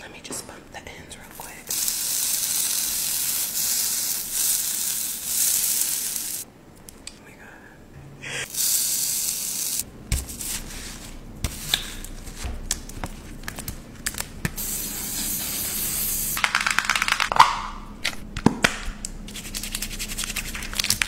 Let me just bump the ends real quick. Oh my god.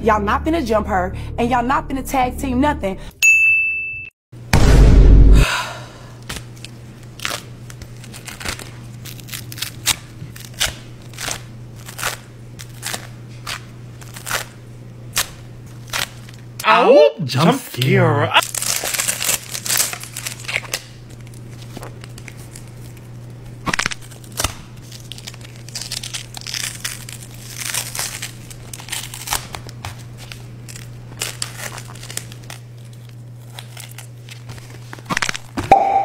Y'all not gonna jump her, and y'all not gonna tag team nothing. Ow! Jump, Jump scare. Scare. Ah!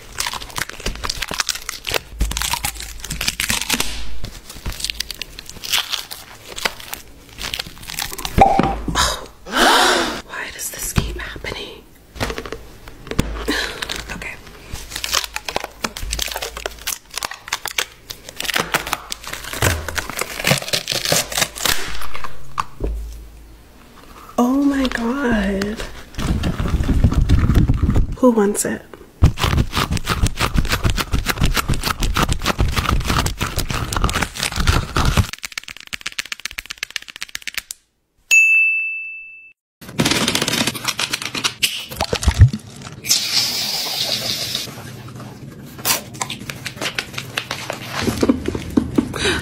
Oh. Why does this keep happening? okay. Oh my god. Who wants it?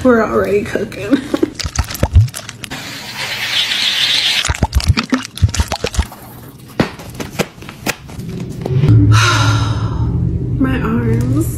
We're already cooking. My arms.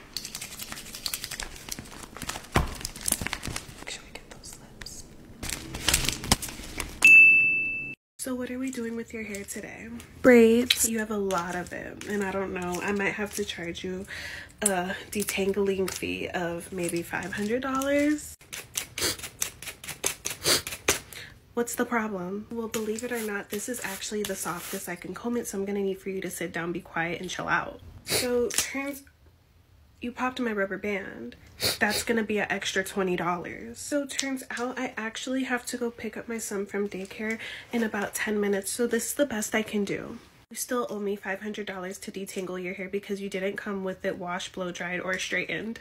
So what are we doing with your hair today? Braids. You have a lot of them and I don't know. I might have to charge you a detangling fee of maybe $500. What's the problem? Well, believe it or not, this is actually the softest I can comb it, so I'm gonna need for you to sit down quiet and chill out. So turns you popped my rubber band. That's gonna be an extra $20. So turns out I actually have to go pick up my son from daycare in about 10 minutes, so this is the best I can do. You still owe me $500 to detangle your hair because you didn't come with it washed, blow dried, or straightened.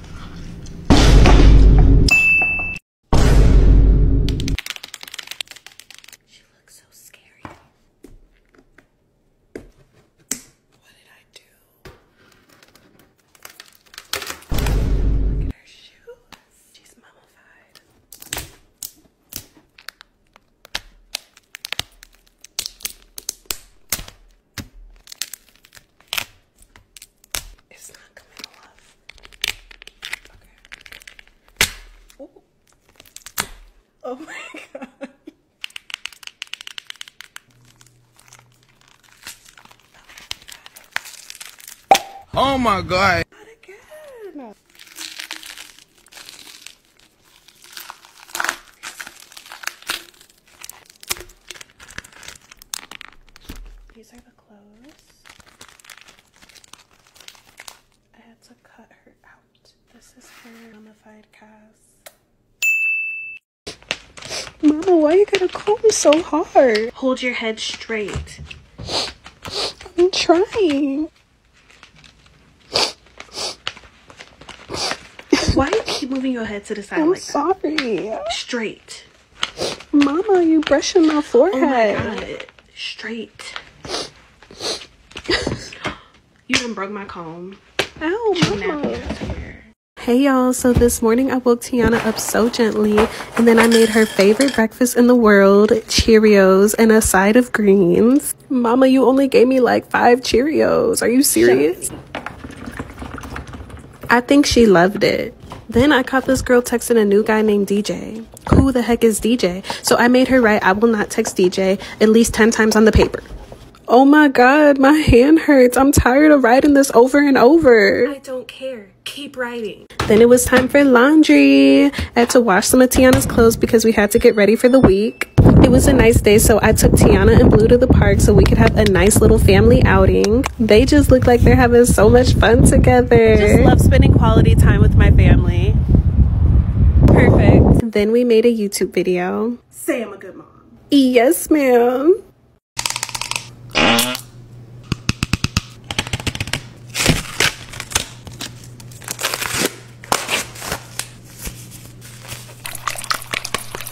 She looks so scary. What did I do? Look at her shoes. She's mummified. It's not coming off. Okay. Oh my god. Oh my god. Not again. These are the clothes. I had to cut her out. This is her mummified Cass. Mama, why are you going to comb so hard? Hold your head straight. I'm trying. Why do you keep moving your head to the side? I'm sorry. Straight. Mama, you brushing my forehead. Oh my God. Straight. you done broke my comb. Ow, mama. Hey y'all, so this morning I woke Tiana up so gently and then I made her favorite breakfast in the world, Cheerios and a side of greens. Mama, you only gave me like five Cheerios. Are you serious? I think she loved it. Then I caught this girl texting a new guy named DJ. Who the heck is DJ? So I made her write, I will not text DJ at least 10 times on the paper. Oh my god, my hand hurts. I'm tired of writing this over and over. I don't care. Keep writing. Then it was time for laundry. I had to wash some of Tiana's clothes because we had to get ready for the week. It was a nice day, so I took Tiana and Blue to the park so we could have a nice little family outing. They just look like they're having so much fun together. I just love spending quality time with my family. Perfect. then we made a YouTube video. Say I'm a good mom. Yes, ma'am.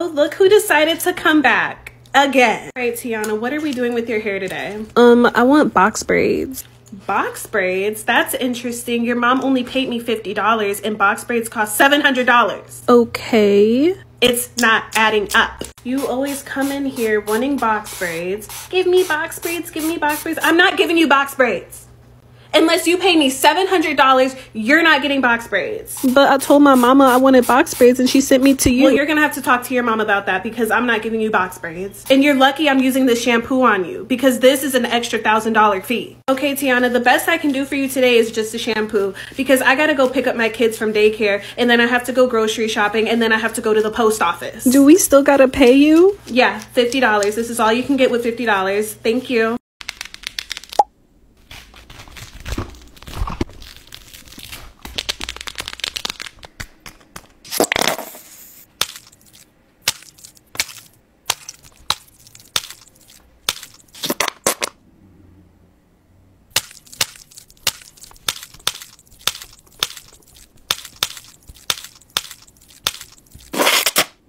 Oh, look who decided to come back again. All right, Tiana, what are we doing with your hair today? Um, I want box braids. Box braids? That's interesting. Your mom only paid me $50 and box braids cost $700. Okay. It's not adding up. You always come in here wanting box braids. Give me box braids, give me box braids. I'm not giving you box braids. Unless you pay me $700, you're not getting box braids. But I told my mama I wanted box braids and she sent me to you. Well, you're going to have to talk to your mom about that because I'm not giving you box braids. And you're lucky I'm using this shampoo on you because this is an extra $1,000 fee. Okay, Tiana, the best I can do for you today is just a shampoo because I got to go pick up my kids from daycare and then I have to go grocery shopping and then I have to go to the post office. Do we still got to pay you? Yeah. $50. This is all you can get with $50. Thank you.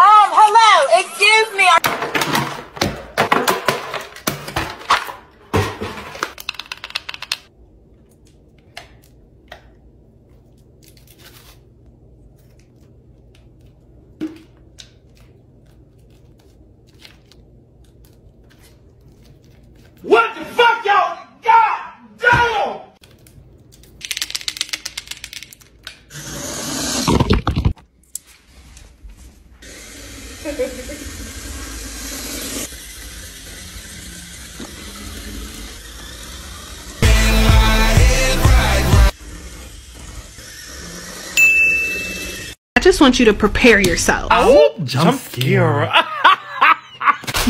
Um, hello, excuse me. What the fuck, y'all? God damn! I just want you to prepare yourself. Oh, jump, jump scare.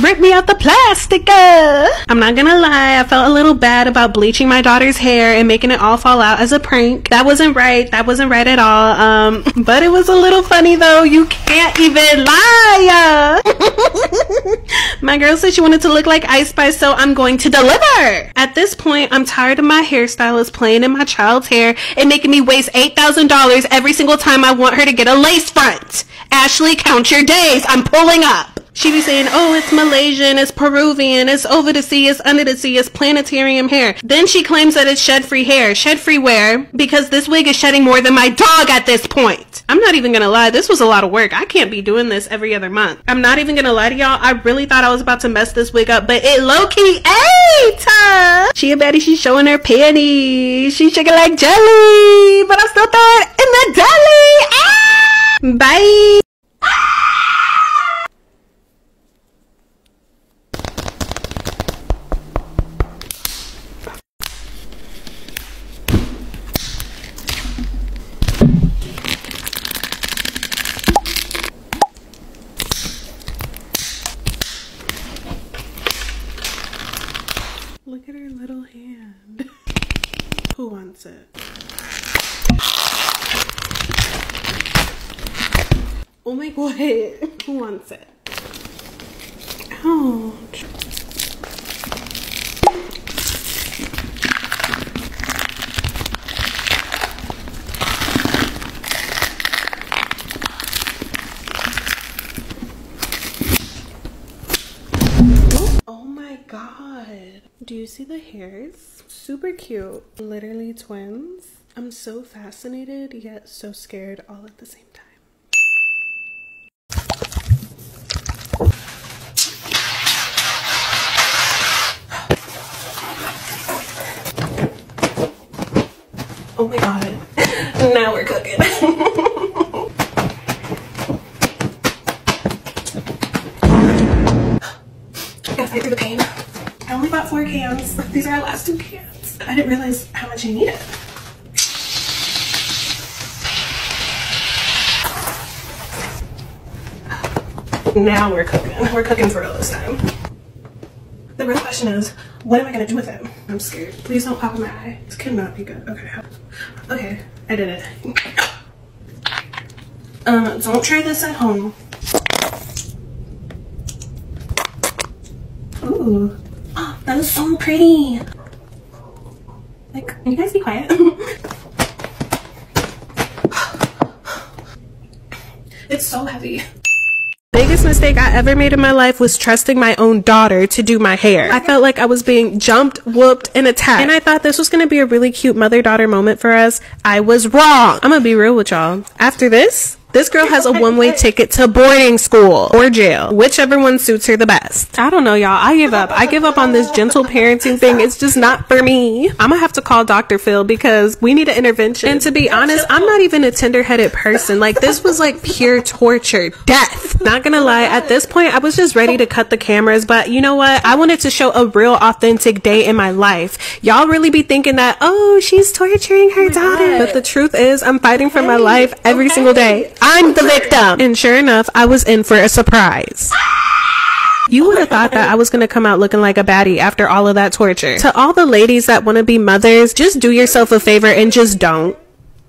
Rip me out the plastic! plastica! Uh. I'm not gonna lie, I felt a little bad about bleaching my daughter's hair and making it all fall out as a prank. That wasn't right, that wasn't right at all. Um, but it was a little funny though, you can't even lie! Uh. my girl said she wanted to look like Ice Spice, so I'm going to deliver! At this point, I'm tired of my hairstylist playing in my child's hair and making me waste $8,000 every single time I want her to get a lace front. Ashley, count your days, I'm pulling up! up. She be saying, oh, it's Malaysian, it's Peruvian, it's over the sea, it's under the sea, it's planetarium hair. Then she claims that it's shed free hair. Shed free wear because this wig is shedding more than my dog at this point. I'm not even gonna lie, this was a lot of work. I can't be doing this every other month. I'm not even gonna lie to y'all, I really thought I was about to mess this wig up, but it low key ate her. She a baddie, she's showing her panties. She's shaking like jelly, but I'm still thought in the gully. Bye. Look at her little hand. Who wants it? Oh my god, who wants it? Ouch. Oh my god. Do you see the hairs? Super cute. Literally twins. I'm so fascinated yet so scared all at the same time. Oh my god. now we're cooking. I gotta fight the pain. I only bought four cans. These are our last two cans. I didn't realize how much I needed. Now we're cooking. We're cooking for real this time. The real question is, what am I gonna do with it? I'm scared. Please don't pop my eye. This cannot be good. Okay. Okay, I did it. Um, don't try this at home. Ooh, oh, that is so pretty. Like, can you guys be quiet? it's so heavy biggest mistake I ever made in my life was trusting my own daughter to do my hair. I felt like I was being jumped whooped, and attacked. And I thought this was going to be a really cute mother daughter moment for us. I was wrong. I'm going to be real with y'all. After this, this girl has a one way ticket to boarding school or jail, whichever one suits her the best. I don't know, y'all. I give up. I give up on this gentle parenting thing. It's just not for me. I'm gonna have to call Dr. Phil because we need an intervention. And to be honest, I'm not even a tender headed person. Like, this was like pure torture death. Not gonna lie, at this point, I was just ready to cut the cameras, but you know what? I wanted to show a real, authentic day in my life. Y'all really be thinking that, oh, she's torturing her oh daughter. But the truth is, I'm fighting for my life every single day. I'm the victim. And sure enough, I was in for a surprise. You would have oh thought that I was going to come out looking like a baddie after all of that torture. To all the ladies that want to be mothers, just do yourself a favor and just don't.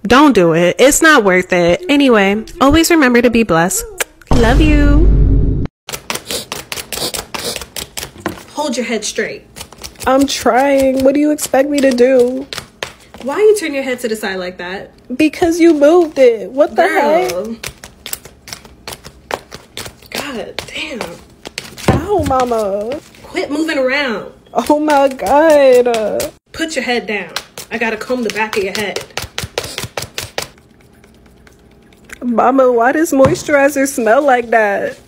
Don't do it. It's not worth it. Anyway, always remember to be blessed. Love you. Hold your head straight. I'm trying. What do you expect me to do? Why you turn your head to the side like that? Because you moved it. What the hell? God damn. Ow, mama. Quit moving around. Oh my god. Put your head down. I gotta comb the back of your head. Mama, why does moisturizer smell like that?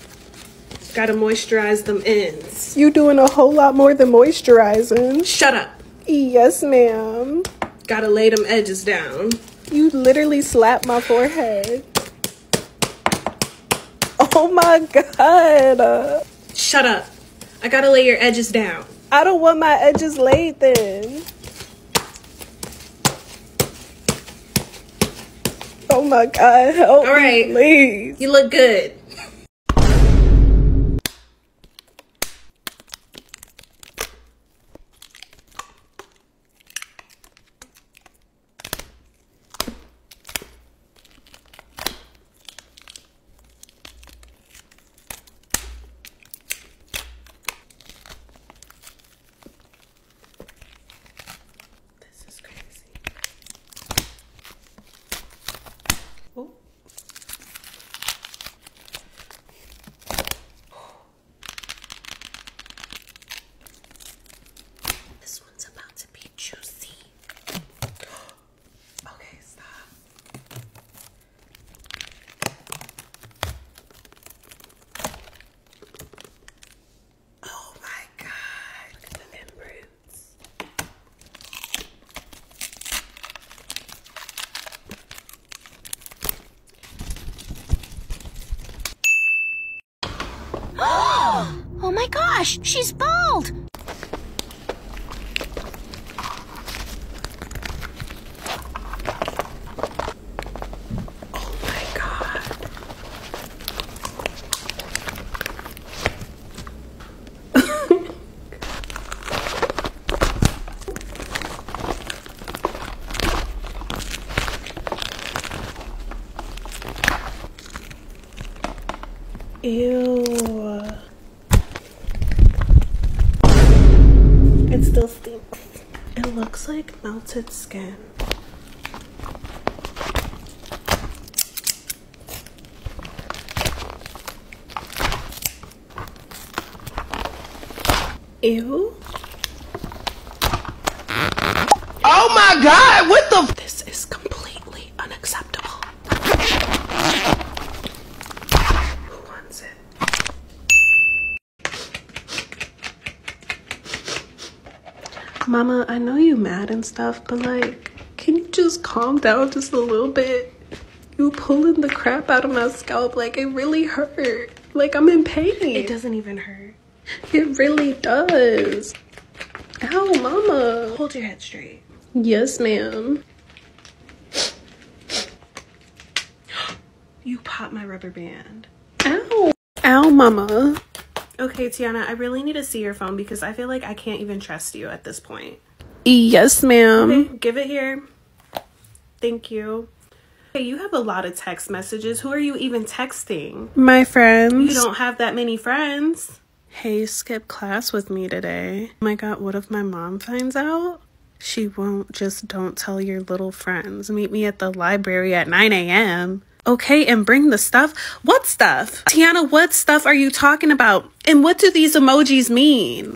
Gotta moisturize them ends. You doing a whole lot more than moisturizing. Shut up. Yes, ma'am. Gotta lay them edges down. You literally slapped my forehead. Oh my god. Shut up. I gotta lay your edges down. I don't want my edges laid then. Oh my God, All right. please. You look good. This is crazy. Oh. This one's about to be juicy. Okay, stop. Oh my God! the mint roots. oh my gosh! She's bald. Oh my God. Ew. It still stinks. It looks like melted skin. Ew. Oh my god, what the This is completely unacceptable. Who wants it? Mama, I know you mad and stuff, but like, can you just calm down just a little bit? You pulling the crap out of my scalp, like it really hurts. Like I'm in pain. It doesn't even hurt. It really does. Ow, mama. Hold your head straight. Yes, ma'am. You popped my rubber band. Ow. Ow, mama. Okay, Tiana, I really need to see your phone because I feel like I can't even trust you at this point. Yes, ma'am. give it here. Thank you. Okay, you have a lot of text messages. Who are you even texting? My friends. You don't have that many friends. Hey, skip class with me today. Oh my god, what if my mom finds out? She won't just don't tell your little friends. Meet me at the library at 9 a.m. Okay, and bring the stuff. What stuff? Tiana, what stuff are you talking about? And what do these emojis mean?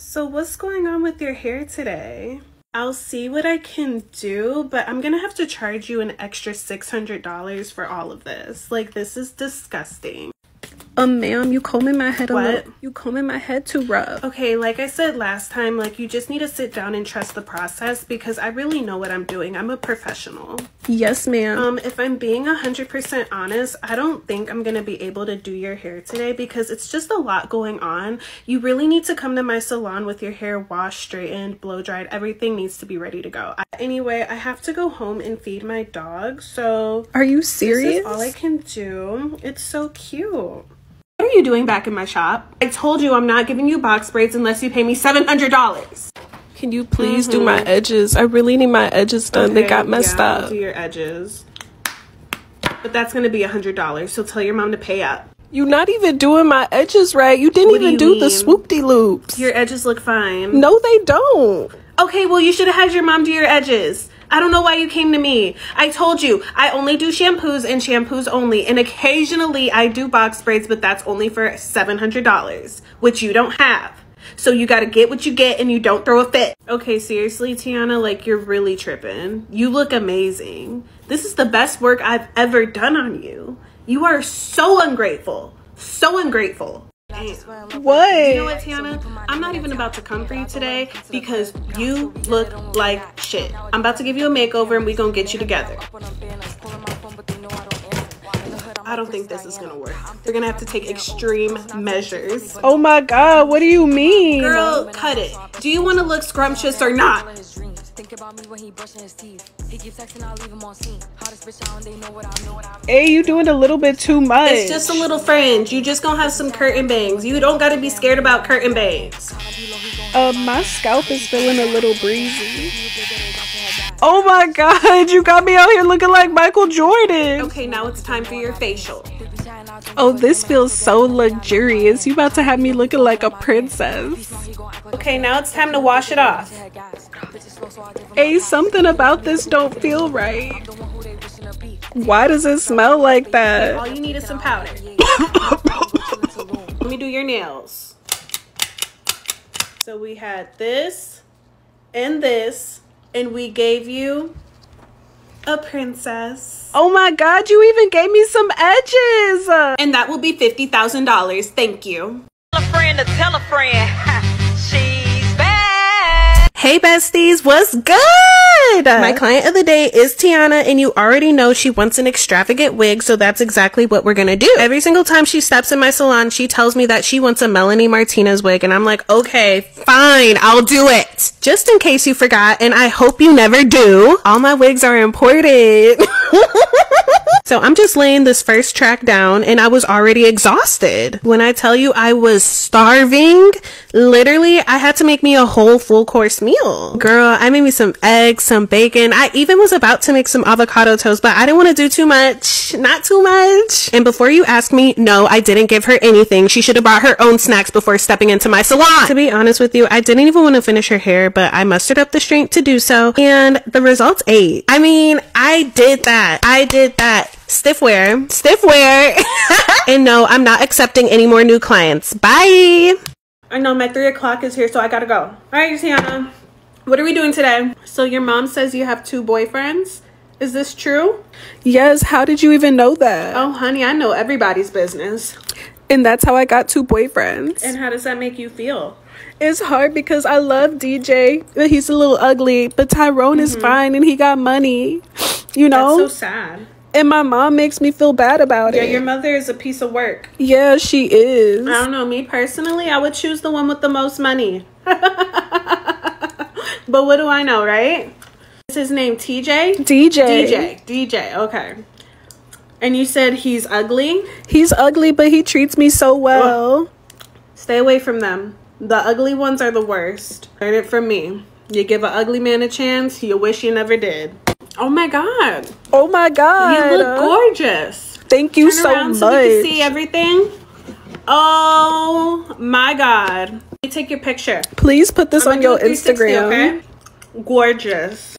So what's going on with your hair today? I'll see what I can do, but I'm gonna have to charge you an extra $600 for all of this. Like, this is disgusting. Um, ma'am, you combing my head what? a little. You combing my head too rough. Okay, like I said last time, like you just need to sit down and trust the process because I really know what I'm doing. I'm a professional. Yes, ma'am. Um, if I'm being a 100% honest, I don't think I'm going to be able to do your hair today because it's just a lot going on you really need to come to my salon with your hair washed, straightened, blow dried. Everything needs to be ready to go. anyway, I have to go home and feed my dog. So are you serious? all I can do. It's so cute. What are you doing back in my shop? I told you I'm not giving you box braids unless you pay me $700. Can you please do my mm-hmm. edges? I really need my edges done. they got messed up. Do your edges. But that's going to be $100, so tell your mom to pay up. You're not even doing my edges right. You didn't even do, the swoop loops. Your edges look fine. No, they don't. Okay, well, you should have had your mom do your edges. I don't know why you came to me. I told you, I only do shampoos and shampoos only. And occasionally I do box braids, but that's only for $700, which you don't have. So you gotta get what you get and you don't throw a fit. Okay, seriously, Tiana, like you're really tripping. You look amazing. This is the best work I've ever done on you. You are so ungrateful. So ungrateful. What? I'm not even about to come for you today because you look like shit. I'm about to give you a makeover and we are gonna get you together. I don't think this is gonna work. We're gonna have to take extreme measures. Oh my god, what do you mean? Girl, cut it. Do you wanna look scrumptious or not? Hey, you doing a little bit too much. It's just a little fringe. You just gonna have some curtain bangs. You don't gotta be scared about curtain bangs. Uh, my scalp is feeling a little breezy. Oh my god, you got me out here looking like Michael Jordan. Okay, now it's time for your facial. Oh, this feels so luxurious. You about to have me looking like a princess. Okay, now it's time to wash it off. Hey, something about this don't feel right. Why does it smell like that? All you need is some powder. Let me do your nails. So we had this and this, and we gave you a princess. Oh my God, you even gave me some edges. And that will be $50,000. Thank you. Hey besties, what's good? My client of the day is Tiana and you already know she wants an extravagant wig, so that's exactly what we're gonna do. Every single time she steps in my salon, she tells me that she wants a Melanie Martinez wig and I'm like, okay, fine, I'll do it. Just in case you forgot, and I hope you never do, all my wigs are important. so I'm just laying this first track down and I was already exhausted. When I tell you I was starving, literally I had to make me a whole full course meal. Girl, I made me some eggs, some bacon. I even was about to make some avocado toast, but I didn't want to do too much. Not too much. And before you ask me, no, I didn't give her anything. She should have brought her own snacks before stepping into my salon. To be honest with you, I didn't even want to finish her hair, but I mustered up the strength to do so. And the results eight. I mean, I did that. I did that. Stiffware. Stiffware. and no, I'm not accepting any more new clients. Bye. I know my three o'clock is here, so I gotta go. All right, Tiana, what are we doing today? So your mom says you have two boyfriends. Is this true? Yes, how did you even know that? Oh, honey, I know everybody's business. And that's how I got two boyfriends. And how does that make you feel? It's hard because I love DJ, but he's a little ugly. But Tyrone is mm-hmm. fine and he got money. You know? so sad. And my mom makes me feel bad about it. Yeah, your mother is a piece of work. Yeah, she is. I don't know. Me personally, I would choose the one with the most money. but what do I know, right? Is his name TJ? DJ. DJ. DJ. Okay. And you said he's ugly? He's ugly, but he treats me so well. Stay away from them. The ugly ones are the worst. Learn it from me. You give an ugly man a chance, you wish you never did. Oh my god. Oh my god. You look gorgeous. Thank you Turn so around much. So we can see everything. Oh my god. Let take your picture. Please put this on your Instagram. Gorgeous.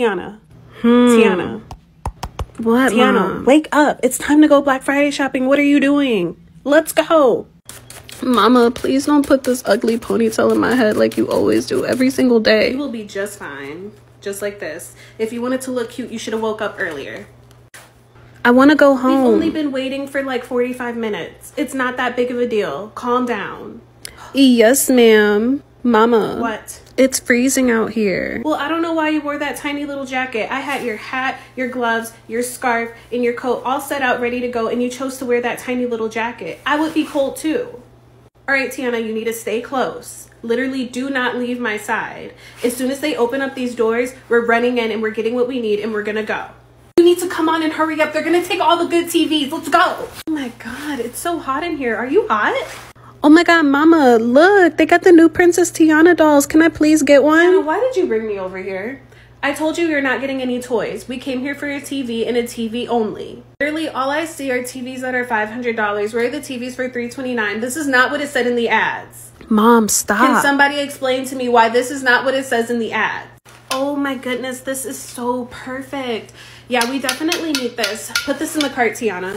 Tiana. Hmm. Tiana. What? Tiana, wake up. It's time to go Black Friday shopping. What are you doing? Let's go. Mama, please don't put this ugly ponytail in my head like you always do every single day. You will be just fine. Just like this. If you wanted to look cute, you should have woke up earlier. I want to go home. We've only been waiting for like 45 minutes. It's not that big of a deal. Calm down. Yes, ma'am. Mama. What? It's freezing out here. Well, I don't know why you wore that tiny little jacket. I had your hat, your gloves, your scarf, and your coat all set out ready to go, and you chose to wear that tiny little jacket. I would be cold too. All right, Tiana, you need to stay close. Literally, do not leave my side. As soon as they open up these doors, we're running in and we're getting what we need and we're gonna go. You need to come on and hurry up. They're gonna take all the good TVs. Let's go. Oh my God, it's so hot in here. Are you hot? Oh my God, mama, look, they got the new Princess Tiana dolls. Can I please get one? why did you bring me over here? I told you you're not getting any toys. We came here for your TV and a TV only. Clearly, all I see are TVs that are $500. Where are the TVs for 329 This is not what is said in the ads. Mom, stop. Can somebody explain to me why this is not what it says in the ad? Oh my goodness, this is so perfect. Yeah, we definitely need this. Put this in the cart, Tiana.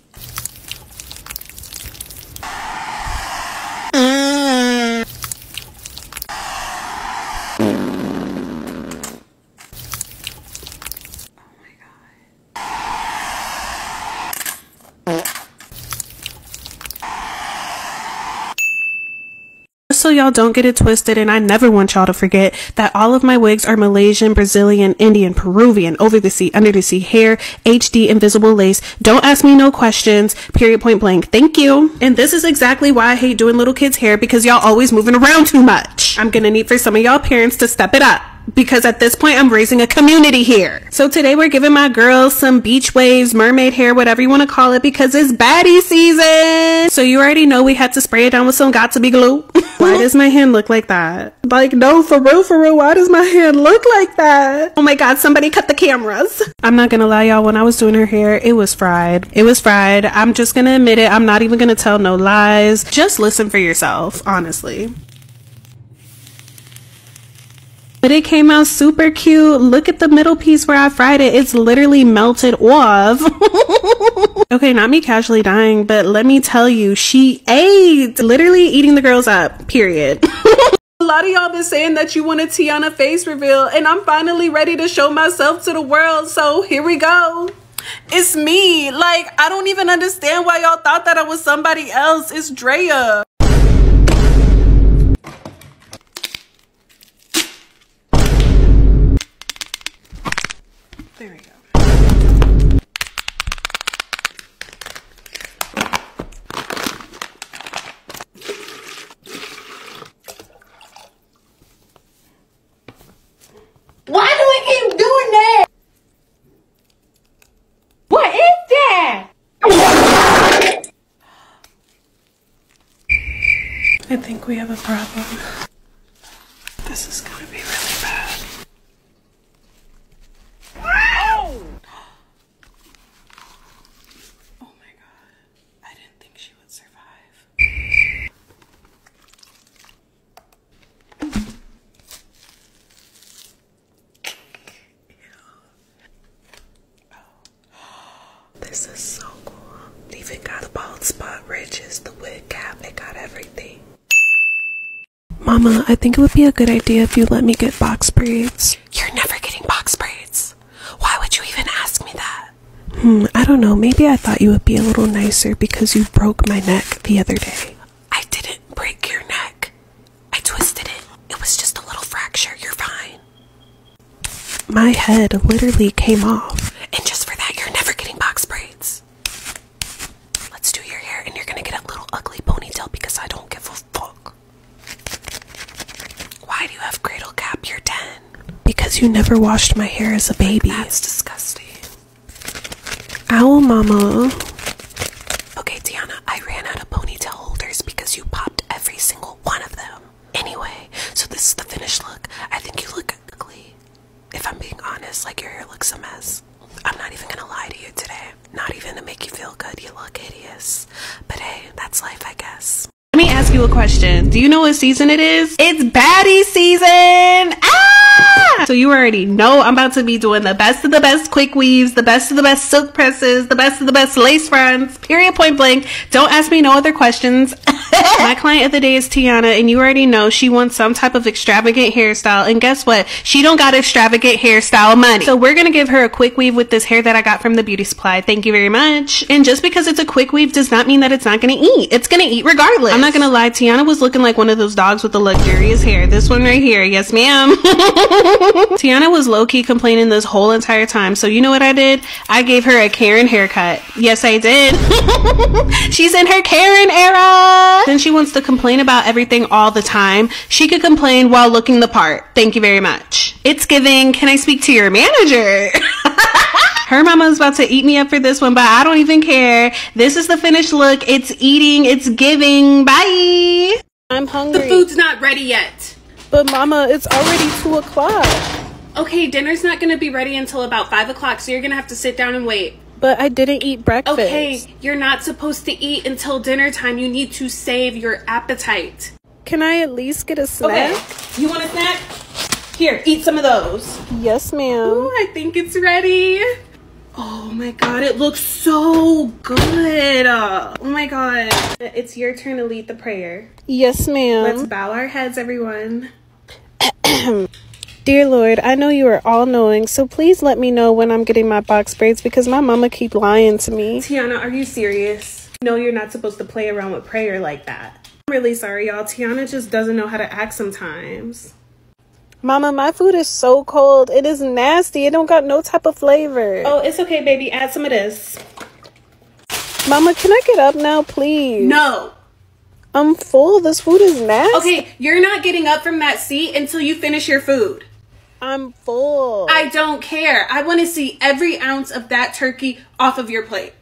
so y'all don't get it twisted and I never want y'all to forget that all of my wigs are Malaysian, Brazilian, Indian, Peruvian, over the sea, under the sea hair HD invisible lace. Don't ask me no questions, period point blank. Thank you. And this is exactly why I hate doing little kids hair because y'all always moving around too much. I'm gonna need for some of y'all parents to step it up because at this point I'm raising a community here. So today we're giving my girls some beach waves, mermaid hair, whatever you want to call it, because it's baddie season. So you already know we had to spray it down with some got to be glue. Why does my hair look like that? Like, no, for real, for real, why does my hair look like that? Oh my god, somebody cut the cameras. I'm not gonna lie, y'all, when I was doing her hair, it was fried. It was fried. I'm just gonna admit it. I'm not even gonna tell no lies. Just listen for yourself, honestly. But it came out super cute. Look at the middle piece where I fried it. It's literally melted off. okay, not me casually dying, but let me tell you, she ate. Literally eating the girls up, period. A lot of y'all been saying that you want a Tiana face reveal and I'm finally ready to show myself to the world. So here we go. It's me. Like, I don't even understand why y'all thought that I was somebody else. It's Drea. There we go. Why do we keep doing that? What is that? I think we have a problem. This is gonna be really bad. Oh! Oh my god. I didn't think she would survive. This is so cool. even got the bald spot ridges, the wig cap, They got everything. Mama, I think it would be a good idea if you let me get box braids. You're never getting box braids. Why would you even ask me that? Hmm, I don't know. Maybe I thought you would be a little nicer because you broke my neck the other day. I didn't break your neck. I twisted it. It was just a little fracture. You're fine. My head literally came off. And just for that, you're never getting box braids. Let's do your hair, and you're gonna get a little ugly ponytail because I don't give a fuck? Why do you have cradle cap? You're 10. Because you never washed my hair as a baby. That's disgusting. Owl mama. Okay, Diana, I ran out of ponytail holders because you popped every single one of them. Anyway, so this is the finished look. I think you look ugly. If I'm being honest, like your hair looks a mess. I'm not even gonna lie to you today. Not even to make you feel good, you look hideous. But hey, that's life, I guess. Let me ask you a question. Do you know what season it is? It's baddie season! Ah! So you already know I'm about to be doing the best of the best quick weaves, the best of the best silk presses, the best of the best lace fronts, period point blank. Don't ask me no other questions. My client of the day is Tiana and you already know she wants some type of extravagant hairstyle and guess what? she don't got extravagant hairstyle money. So we're gonna give her a quick weave with this hair that I got from the beauty supply. Thank you very much. And just because it's a quick weave does not mean that it's not gonna eat. It's gonna eat regardless. I'm not gonna lie, Tiana was looking like one of those dogs with the luxurious hair. This one right here. Yes, ma'am. Tiana was low-key complaining this whole entire time. So you know what I did? I gave her a Karen haircut. Yes, I did. She's in her Karen era. Then she wants to complain about everything all the time. She could complain while looking the part. Thank you very much. It's giving. Can I speak to your manager? Her mama's about to eat me up for this one, but I don't even care. This is the finished look. It's eating. It's giving. Bye. I'm hungry. The food's not ready yet. But mama, it's already two o'clock. Okay, dinner's not gonna be ready until about five o'clock, so you're gonna have to sit down and wait. But I didn't eat breakfast. Okay, you're not supposed to eat until dinner time. You need to save your appetite. Can I at least get a snack? Okay. You want a snack? Here, eat some of those. Yes, ma'am. Ooh, I think it's ready. Oh my god, it looks so good. Oh my god. It's your turn to lead the prayer. Yes, ma'am. Let's bow our heads, everyone. Dear Lord, I know you are all knowing, so please let me know when I'm getting my box because my mama keep lying to me. Tiana, are you serious? No, you're not supposed to play around with prayer like that. I'm really sorry, y'all. Tiana just doesn't know how to act sometimes. Mama, my food is so cold. It is nasty. It don't got no type of flavor. Oh, it's okay, baby. Add some of this. Mama, can I get up now, please? No. I'm full. This food is nasty. Okay, you're not getting up from that seat until you finish your food. i i full. I don't care. I want to see every ounce of that turkey off of your plate.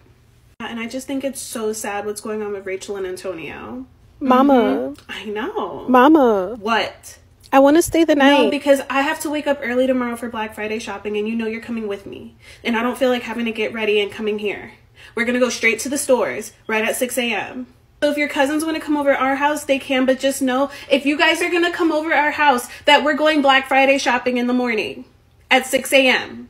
And I just think it's so sad what's going on with Rachel and Antonio. Mama. Mm-hmm. I know. Mama. What? I want to stay the night. No, because I have to wake up early tomorrow for Black Friday shopping, and you know you're coming with me. And I don't feel like having to get ready and coming here. We're going to go straight to the stores right at 6 a.m. So if your cousins want to come over our house, they can, but just know if you guys are going to come over our house, that we're going Black Friday shopping in the morning at 6 a.m.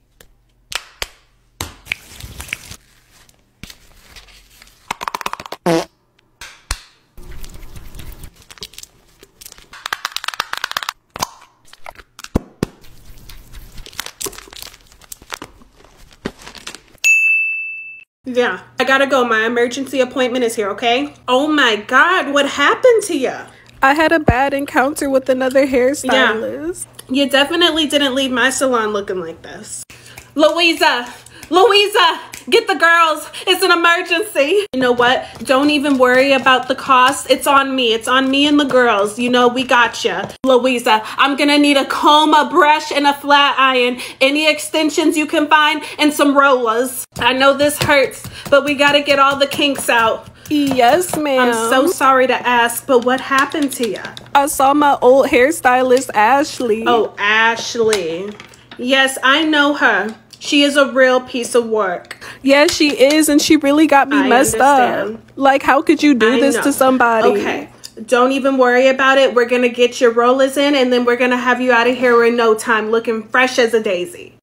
Yeah, I gotta go. My emergency appointment is here, okay? Oh my God, what happened to you? I had a bad encounter with another hairstylist. You definitely didn't leave my salon looking like this. Louisa, Louisa, get the girls. It's an emergency. You know what? Don't even worry about the cost. It's on me. It's on me and the girls. You know, we got you. Louisa, I'm going to need a comb, a brush, and a flat iron, any extensions you can find, and some rollers. I know this hurts, but we got to get all the kinks out. Yes, ma'am. I'm so sorry to ask, but what happened to you? I saw my old hairstylist, Ashley. Oh, Ashley. Yes, I know her. She is a real piece of work. Yes, she is, and she really got me messed up. Like, how could you do this to somebody? Okay. Don't even worry about it. We're going to get your rollers in, and then we're going to have you out of here in no time looking fresh as a daisy.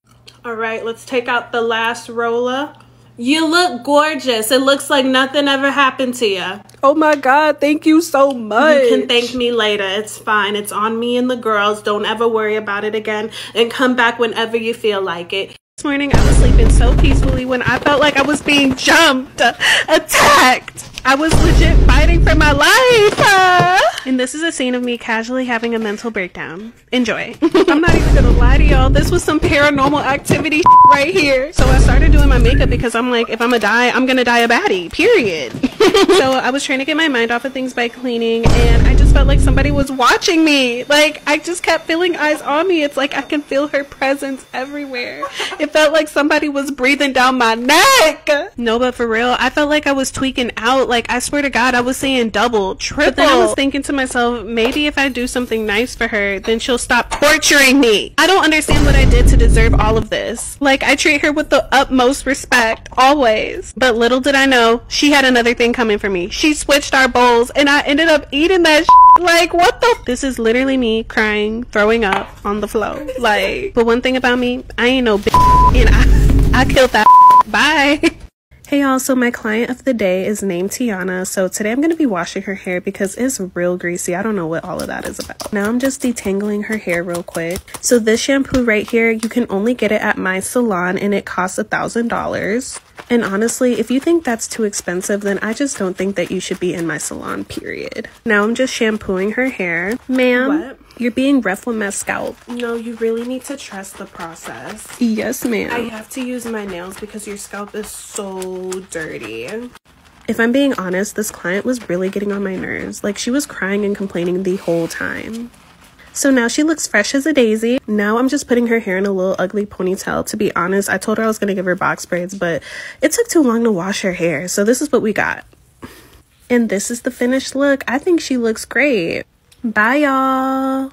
All right, let's take out the last roller. You look gorgeous. It looks like nothing ever happened to you. Oh my God, thank you so much. You can thank me later. It's fine. It's on me and the girls. Don't ever worry about it again. And come back whenever you feel like it. This morning I was sleeping so peacefully when I felt like I was being jumped, attacked. I was legit fighting for my life. And this is a scene of me casually having a mental breakdown. Enjoy. I'm not even gonna lie to y'all. This was some paranormal activity right here. So I started doing my makeup because I'm like, if I'm gonna die, I'm gonna die a baddie, period. so I was trying to get my mind off of things by cleaning and I just felt like somebody was watching me. Like I just kept feeling eyes on me. It's like I can feel her presence everywhere. It felt like somebody was breathing down my neck. No, but for real, I felt like I was tweaking out. Like I swear to God, I was saying double, triple. But then I was thinking to myself, maybe if I do something nice for her, then she'll stop torturing me. I don't understand what I did to deserve all of this. Like, I treat her with the utmost respect, always. But little did I know, she had another thing coming for me. She switched our bowls, and I ended up eating that Like, what the? This is literally me crying, throwing up on the floor. Like, but one thing about me, I ain't no bitch, and I, I killed that Bye. Hey y'all, so my client of the day is named Tiana. So today I'm going to be washing her hair because it's real greasy. I don't know what all of that is about. Now I'm just detangling her hair real quick. So this shampoo right here, you can only get it at my salon and it costs a thousand dollars. And honestly, if you think that's too expensive, then I just don't think that you should be in my salon, period. Now I'm just shampooing her hair. Ma'am, you're being rough with my scalp. No, you really need to trust the process. Yes, ma'am. I have to use my nails because your scalp is so dirty. If I'm being honest, this client was really getting on my nerves. Like, she was crying and complaining the whole time. So now she looks fresh as a daisy. Now I'm just putting her hair in a little ugly ponytail. To be honest, I told her I was going to give her box braids, but it took too long to wash her hair. So this is what we got. And this is the finished look. I think she looks great. Bye, y'all.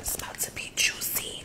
It's about to be juicy.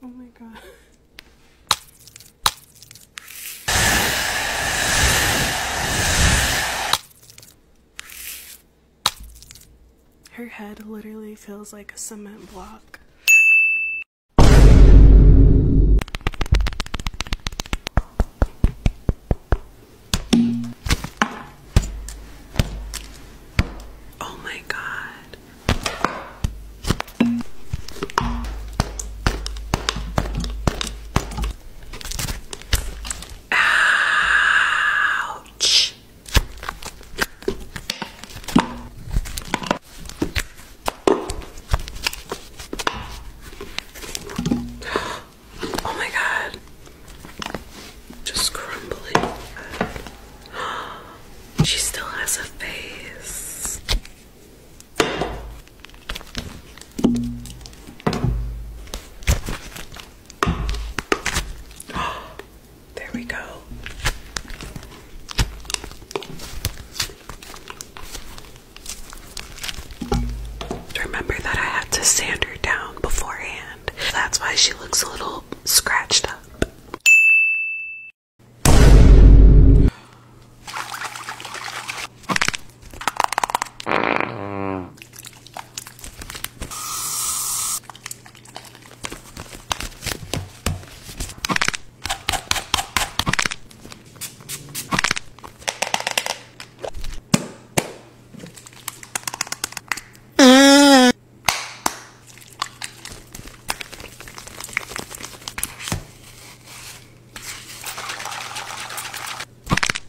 Oh my god. Her head literally feels like a cement block. Oh, my God. Ouch. Oh my god. Just crumbling. She still has a face. There we go. Remember that I had to sand her down beforehand. That's why she looks a little scratched up.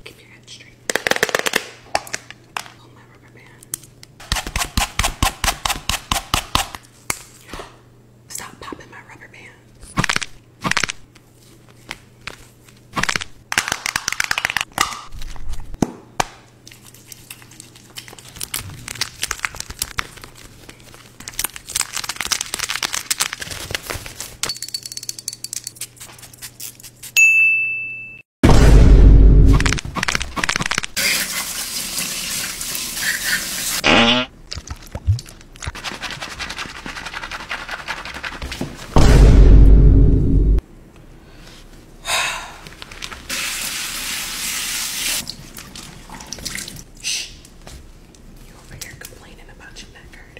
Keep your head straight. Hold my rubber band. Stop popping my rubber band. Mm-hmm. Shh. You over here complaining about your neck hurt.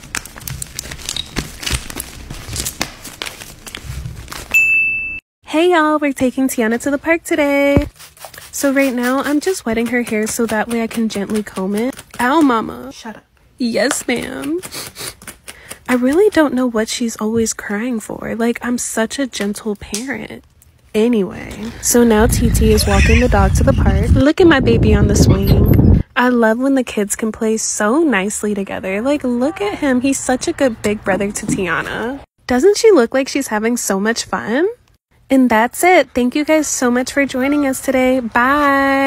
Hey y'all, we're taking Tiana to the park today. So right now I'm just wetting her hair so that way I can gently comb it. Ow mama. Shut up. Yes ma'am. I really don't know what she's always crying for. Like I'm such a gentle parent. Anyway, so now TT is walking the dog to the park. Look at my baby on the swing. I love when the kids can play so nicely together. Like, look at him. He's such a good big brother to Tiana. Doesn't she look like she's having so much fun? And that's it. Thank you guys so much for joining us today. Bye.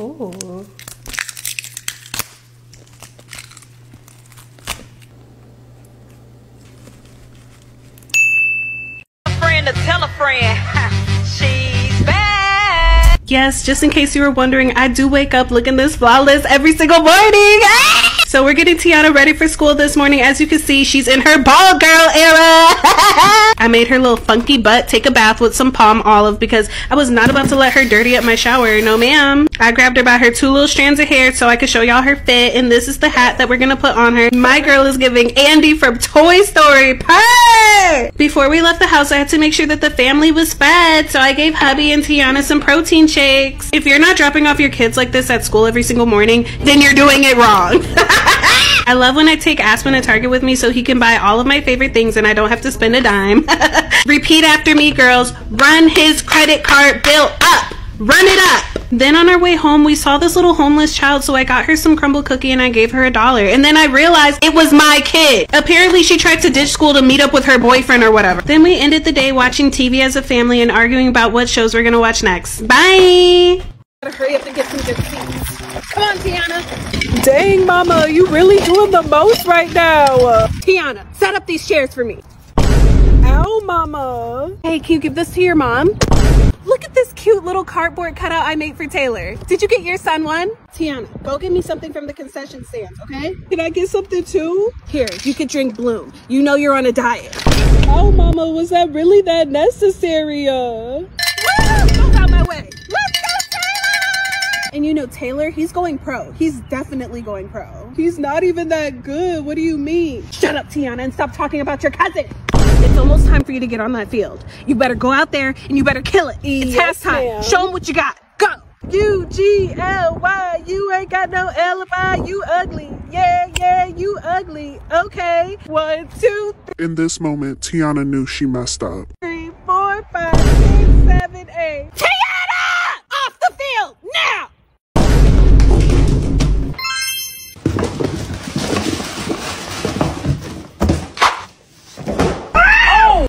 Oh. friend to tell a friend. She's back. Yes, just in case you were wondering, I do wake up looking this flawless every single morning. so we're getting Tiana ready for school this morning. As you can see, she's in her ball girl era. I made her little funky butt take a bath with some palm olive because I was not about to let her dirty up my shower. No ma'am. I grabbed her by her two little strands of hair so I could show y'all her fit. And this is the hat that we're going to put on her. My girl is giving Andy from Toy Story. Purr! Before we left the house, I had to make sure that the family was fed so I gave hubby and Tiana some protein shakes. If you're not dropping off your kids like this at school every single morning, then you're doing it wrong. I love when I take Aspen to Target with me so he can buy all of my favorite things and I don't have to spend a dime. Repeat after me, girls. Run his credit card bill up. Run it up. Then on our way home, we saw this little homeless child, so I got her some crumble cookie and I gave her a dollar. And then I realized it was my kid. Apparently, she tried to ditch school to meet up with her boyfriend or whatever. Then we ended the day watching TV as a family and arguing about what shows we're gonna watch next. Bye! Gotta hurry up and get some good seats. Come on, Tiana. Dang, Mama, you really doing the most right now. Tiana, set up these chairs for me. Ow, Mama. Hey, can you give this to your mom? Look at this cute little cardboard cutout I made for Taylor. Did you get your son one? Tiana, go get me something from the concession stand, okay? Can I get something too? Here, you could drink Bloom. You know you're on a diet. Oh, mama, was that really that necessary? Uh? And you know, Taylor, he's going pro. He's definitely going pro. He's not even that good. What do you mean? Shut up, Tiana, and stop talking about your cousin. It's almost time for you to get on that field. You better go out there and you better kill it. It's halftime. Show them what you got go. U G L Y. You ain't got no L You ugly. Yeah, yeah, you ugly. Okay. One, two. In this moment, Tiana knew she messed up. Three, four, five, six, seven, eight. Tiana! Off the field now! Oh!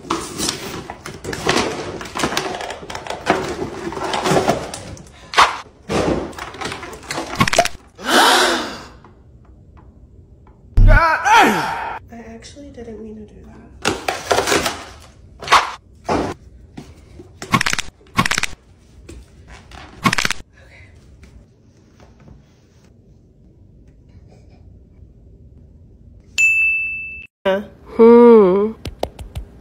I actually didn't mean to do that. Hmm.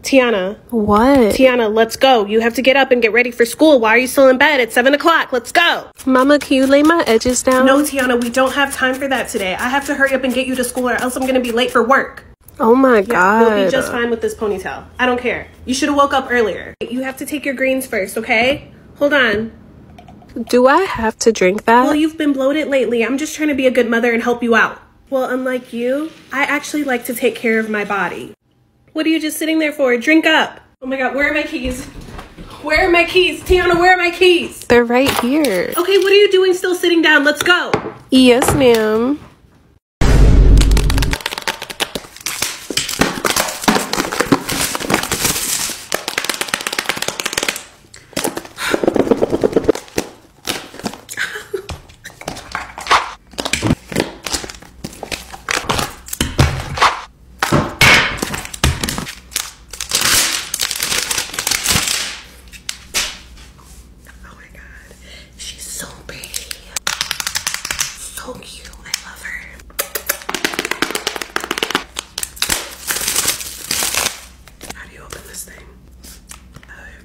Tiana. What? Tiana, let's go. You have to get up and get ready for school. Why are you still in bed? It's 7 o'clock. Let's go. Mama, can you lay my edges down? No, Tiana, we don't have time for that today. I have to hurry up and get you to school or else I'm going to be late for work. Oh my God. We'll be just fine with this ponytail. I don't care. You should have woke up earlier. You have to take your greens first, okay? Hold on. Do I have to drink that? Well, you've been bloated lately. I'm just trying to be a good mother and help you out. Well, unlike you, I actually like to take care of my body. What are you just sitting there for? Drink up. Oh my God, where are my keys? Where are my keys? Tiana, where are my keys? They're right here. Okay, what are you doing still sitting down? Let's go. Yes, ma'am oh my god, she's so pretty. So cute. I love her. How do you open this thing? Oh,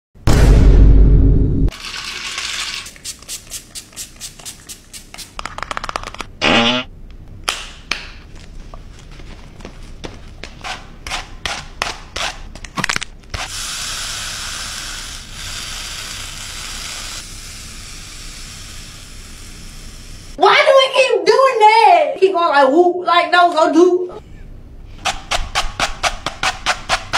keep going like whoop like no go do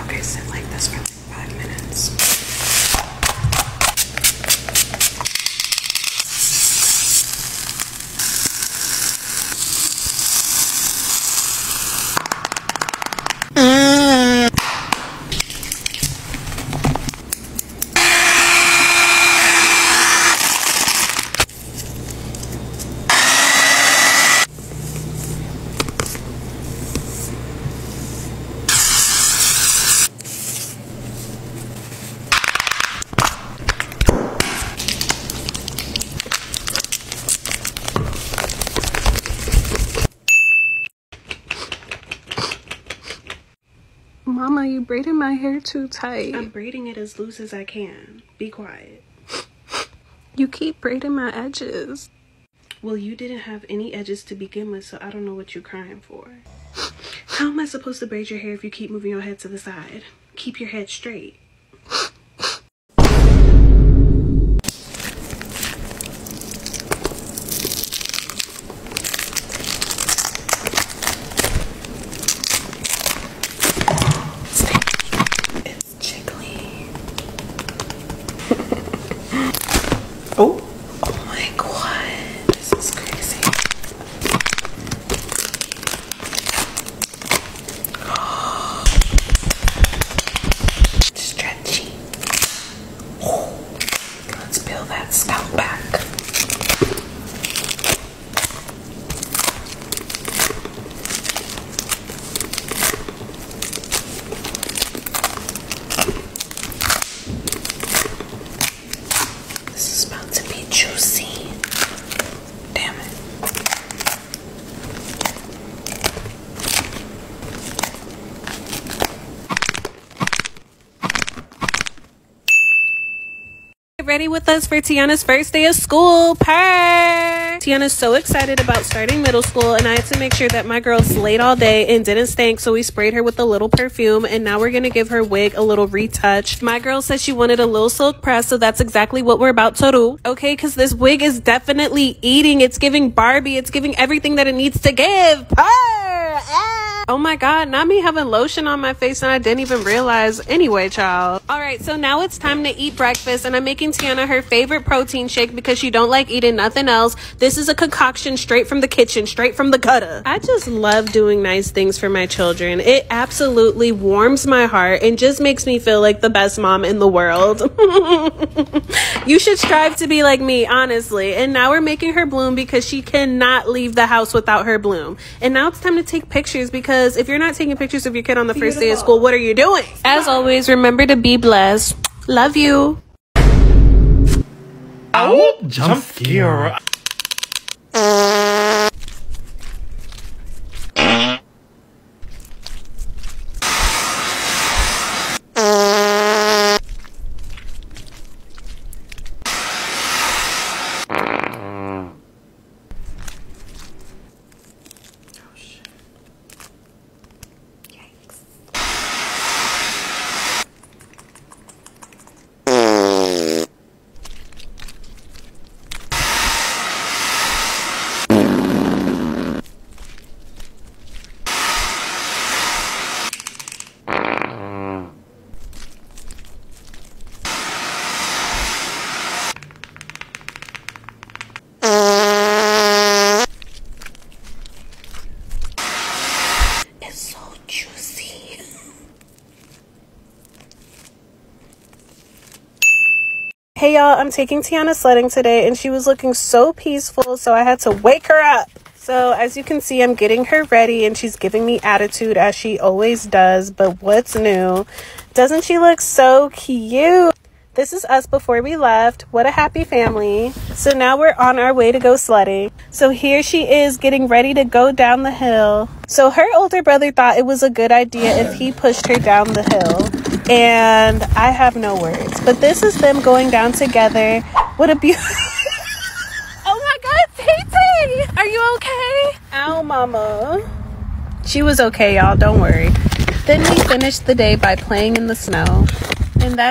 Okay, sit like this for five minutes. Mama, you braiding my hair too tight. I'm braiding it as loose as I can. Be quiet. You keep braiding my edges. Well, you didn't have any edges to begin with, so I don't know what you're crying for. How am I supposed to braid your hair if you keep moving your head to the side? Keep your head straight. oh. Oh my god, this is crazy. Oh. Stretchy. Let's build that scalp back. This is about to be juicy. Damn it. Get ready with us for Tiana's first day of school. Purr! Tiana's so excited about starting middle school and I to make sure that my girl slayed all day and didn't stink, so we sprayed her with a little perfume, and now we're gonna give her wig a little retouch. My girl said she wanted a little silk press, so that's exactly what we're about to do, okay? Because this wig is definitely eating. It's giving Barbie. It's giving everything that it needs to give. Ah! Oh my god, not me having lotion on my face and I didn't even realize. Anyway, child. All right, so now it's time to eat breakfast and I'm making Tiana her favorite protein shake because she don't like eating nothing else. This is a concoction straight from the kitchen, straight from the gutter. I just love doing nice things for my children. It absolutely warms my heart and just makes me feel like the best mom in the world. you should strive to be like me, honestly. And now we're making her bloom because she cannot leave the house without her bloom. And now it's time to take pictures because if you're not taking pictures of your kid on the first day of school, what are you doing? As always, remember to be blessed. Love you. Ow! Jump, Jump scare. Yikes. It's so juicy. Hey y'all, I'm taking Tiana sledding today and she was looking so peaceful so I had to wake her up. So as you can see, I'm getting her ready and she's giving me attitude as she always does, but what's new? Doesn't she look so cute? This is us before we left. What a happy family. So now we're on our way to go sledding. So here she is getting ready to go down the hill. So her older brother thought it was a good idea if he pushed her down the hill. And I have no words. But this is them going down together. What a beauty! oh my God, Tay Are you okay? Ow, mama. She was okay, y'all. Don't worry. Then we finished the day by playing in the snow. And that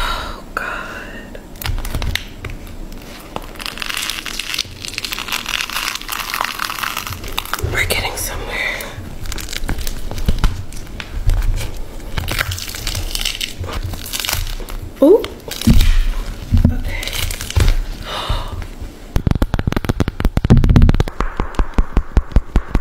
Oh, God. We're getting somewhere. Oh, okay.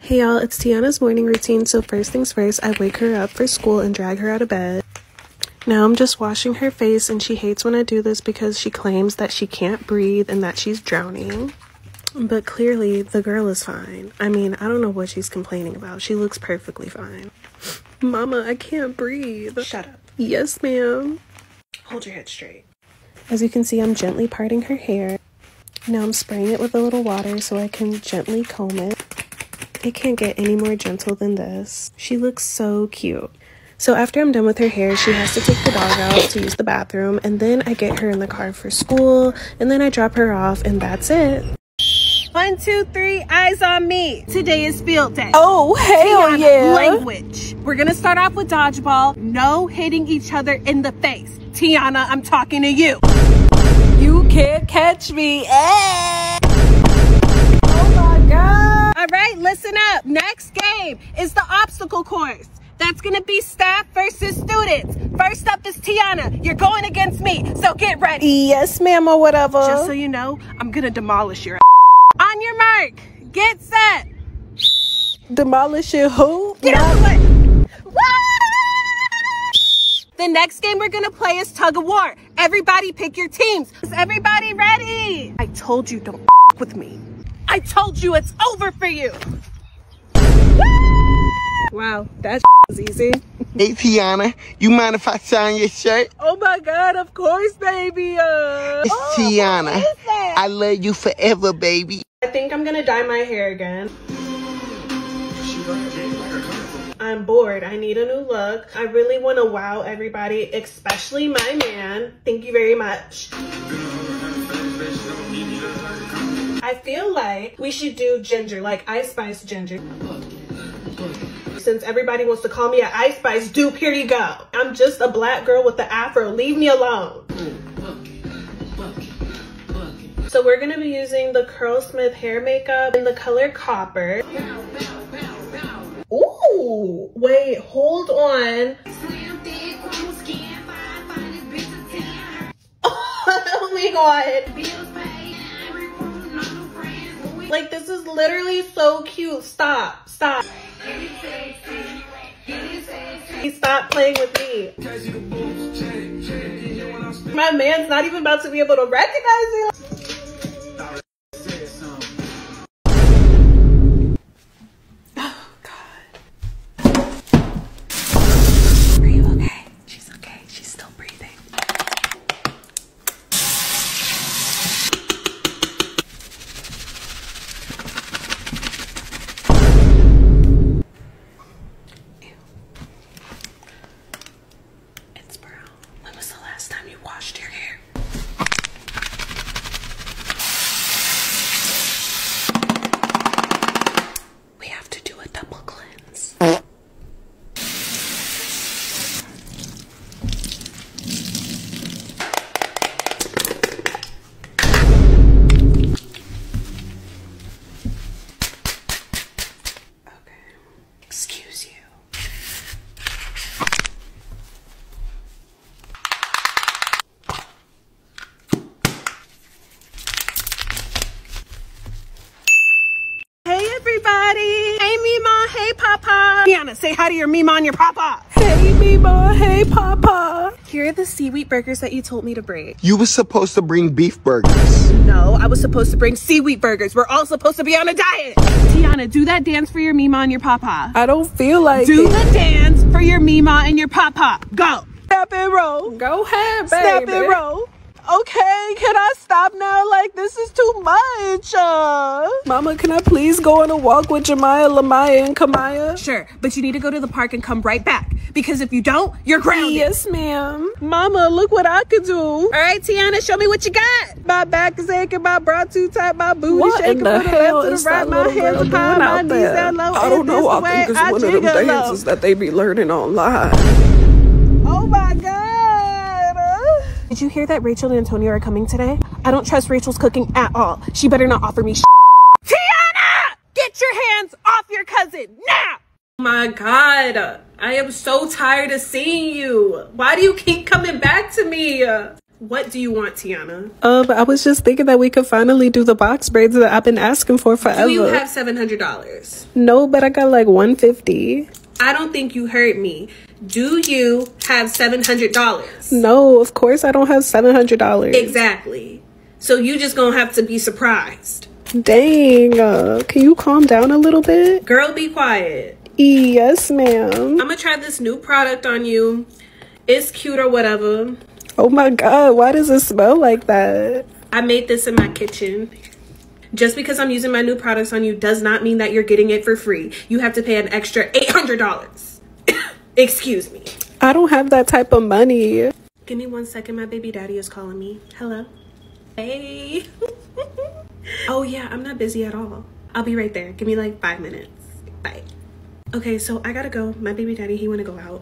Hey y'all, it's Tiana's morning routine, so first things first, I wake her up for school and drag her out of bed. Now I'm just washing her face, and she hates when I do this because she claims that she can't breathe and that she's drowning. But clearly, the girl is fine. I mean, I don't know what she's complaining about. She looks perfectly fine. Mama, I can't breathe. Shut up. Yes, ma'am. Hold your head straight. As you can see, I'm gently parting her hair. Now I'm spraying it with a little water so I can gently comb it. It can't get any more gentle than this. She looks so cute. So after I'm done with her hair, she has to take the dog out to use the bathroom, and then I get her in the car for school and then I drop her off and that's it. One, two, three, eyes on me. Today is field day. Oh, hey, Language. We're gonna start off with dodgeball. No hitting each other in the face. Tiana, I'm talking to you. You can't catch me. Eh. Oh my God. All right, listen up. Next game is the obstacle course. That's gonna be staff versus students. First up is Tiana. You're going against me, so get ready. Yes, ma'am, or whatever. Just so you know, I'm gonna demolish your On your mark, get set. Demolish your who? Get out the next game we're gonna play is tug of war. Everybody pick your teams. Is everybody ready? I told you don't with me. I told you it's over for you. Wow, that was easy. hey, Tiana, you mind if I sign your shirt? Oh my God, of course, baby. Uh, it's oh, Tiana. I love you forever, baby. I think I'm gonna dye my hair again. I'm bored. I need a new look. I really want to wow everybody, especially my man. Thank you very much. I feel like we should do ginger, like Ice Spice ginger. Since everybody wants to call me an Ice Spice, dupe, here you go. I'm just a black girl with the afro. Leave me alone. So we're gonna be using the Curlsmith hair makeup in the color Copper. Ooh, wait, hold on. oh my god. Like this is literally so cute. Stop, stop. He stopped playing with me. My man's not even about to be able to recognize me. Oh God. Are you okay? She's okay. She's still breathing. Ew. It's brown. When was the last time you washed your hair? we have to do a double cleanse. Okay. Excuse you. Hey everybody! Hey Mima, hey Papa! Tiana, say hi to your Mima and your Papa! Hey Mima, hey Papa! Here are the seaweed burgers that you told me to bring. You were supposed to bring beef burgers. No, I was supposed to bring seaweed burgers. We're all supposed to be on a diet! Tiana, do that dance for your Mima and your Papa. I don't feel like Do the dance for your Mima and your Papa. Go! Step and roll. Go ahead, baby. Step and roll. Okay, can I stop now? Like, this is too much. Uh. Mama, can I please go on a walk with Jemaya, Lamaya, and Kamaya? Sure, but you need to go to the park and come right back. Because if you don't, you're grounded. Yes, ma'am. Mama, look what I could do. All right, Tiana, show me what you got. My back is aching, my bra too tight, my booty shaking. What the to is right, my little hands girl my knees there? Low, I don't know. I think it's that they be learning online. Oh my God. Did you hear that Rachel and Antonio are coming today? I don't trust Rachel's cooking at all. She better not offer me shit. Tiana! Get your hands off your cousin now! Oh my God. I am so tired of seeing you. Why do you keep coming back to me? What do you want, Tiana? Um, I was just thinking that we could finally do the box braids that I've been asking for forever. Do you have seven hundred dollars? No, but I got like one fifty. I don't think you heard me. Do you have seven hundred dollars? No, of course I don't have seven hundred dollars. Exactly. So you just gonna have to be surprised. Dang, uh, can you calm down a little bit? Girl, be quiet. Yes, ma'am. I'm gonna try this new product on you. It's cute or whatever. Oh my god, why does it smell like that? I made this in my kitchen. Just because I'm using my new products on you does not mean that you're getting it for free. You have to pay an extra $800. Excuse me. I don't have that type of money. Give me one second. My baby daddy is calling me. Hello. Hey. oh, yeah, I'm not busy at all. I'll be right there. Give me like five minutes. Bye. Okay, so I gotta go. My baby daddy, he wanna go out.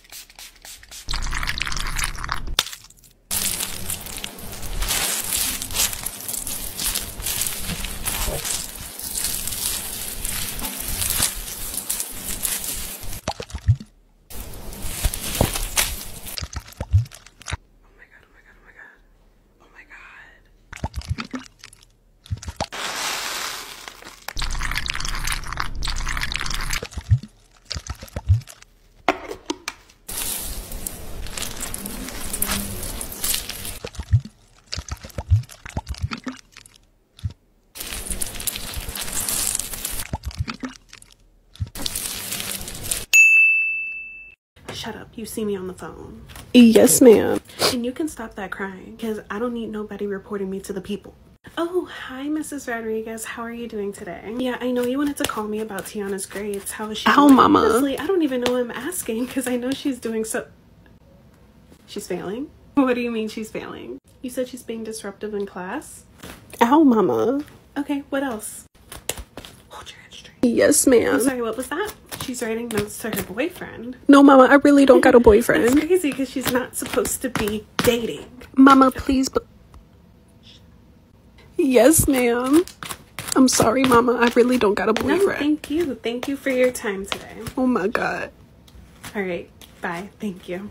Oh my god, oh my god, oh my god. Oh my god. Shut up. You see me on the phone. Yes, ma'am. And you can stop that crying because I don't need nobody reporting me to the people. Oh, hi, Mrs. Rodriguez. How are you doing today? Yeah, I know you wanted to call me about Tiana's grades. How is she? Oh, Mama. Honestly, I don't even know I'm asking because I know she's doing so. She's failing? What do you mean she's failing? You said she's being disruptive in class? Oh, Mama. Okay, what else? Hold your head straight. Yes, ma'am. Sorry, what was that? she's writing notes to her boyfriend. No, mama, I really don't got a boyfriend. it's crazy because she's not supposed to be dating. Mama, please. yes, ma'am. I'm sorry, Mama. I really don't got a boyfriend. thank you. Thank you for your time today. Oh my God. All right. Bye. Thank you.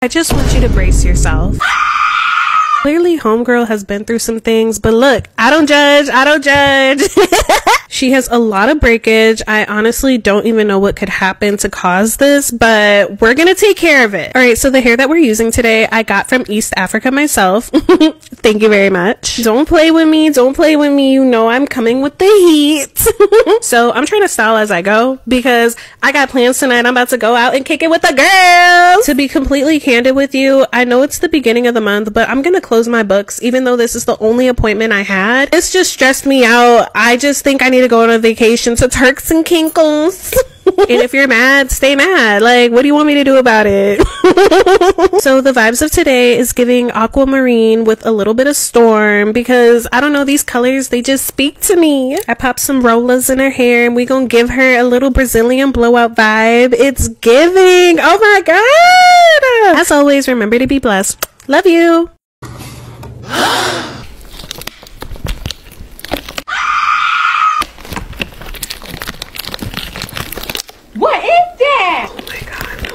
I just want you to brace yourself. Clearly, Homegirl has been through some things, but look, I don't judge. I don't judge. she has a lot of breakage. I honestly don't even know what could happen to cause this, but we're gonna take care of it. All right, so the hair that we're using today, I got from East Africa myself. Thank you very much. Don't play with me. Don't play with me. You know I'm coming with the heat. so I'm trying to style as I go because I got plans tonight. I'm about to go out and kick it with the girls. To be completely candid with you, I know it's the beginning of the month, but I'm gonna close my books even though this is the only appointment I had. It's just stressed me out. I just think I need to go on a vacation to Turks and Caicos. and if you're mad, stay mad. Like, what do you want me to do about it? so the vibes of today is giving aquamarine with a little bit of storm because I don't know, these colors, they just speak to me. I pop some rollas in her hair and we gonna give her a little Brazilian blowout vibe. It's giving. Oh my God. As always, remember to be blessed. Love you. What is that? Oh my god,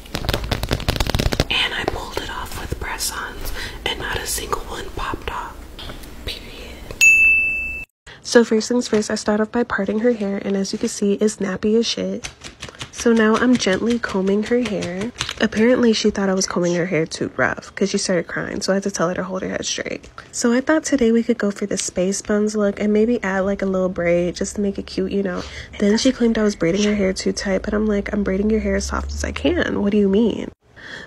And I pulled it off with press and not a single one popped off. Period. So, first things first, I start off by parting her hair, and as you can see, it's nappy as shit. So now I'm gently combing her hair. Apparently, she thought I was combing her hair too rough because she started crying, so I had to tell her to hold her head straight. So I thought today we could go for the space buns look and maybe add like a little braid just to make it cute, you know. Then she claimed I was braiding her hair too tight, but I'm like, I'm braiding your hair as soft as I can. What do you mean?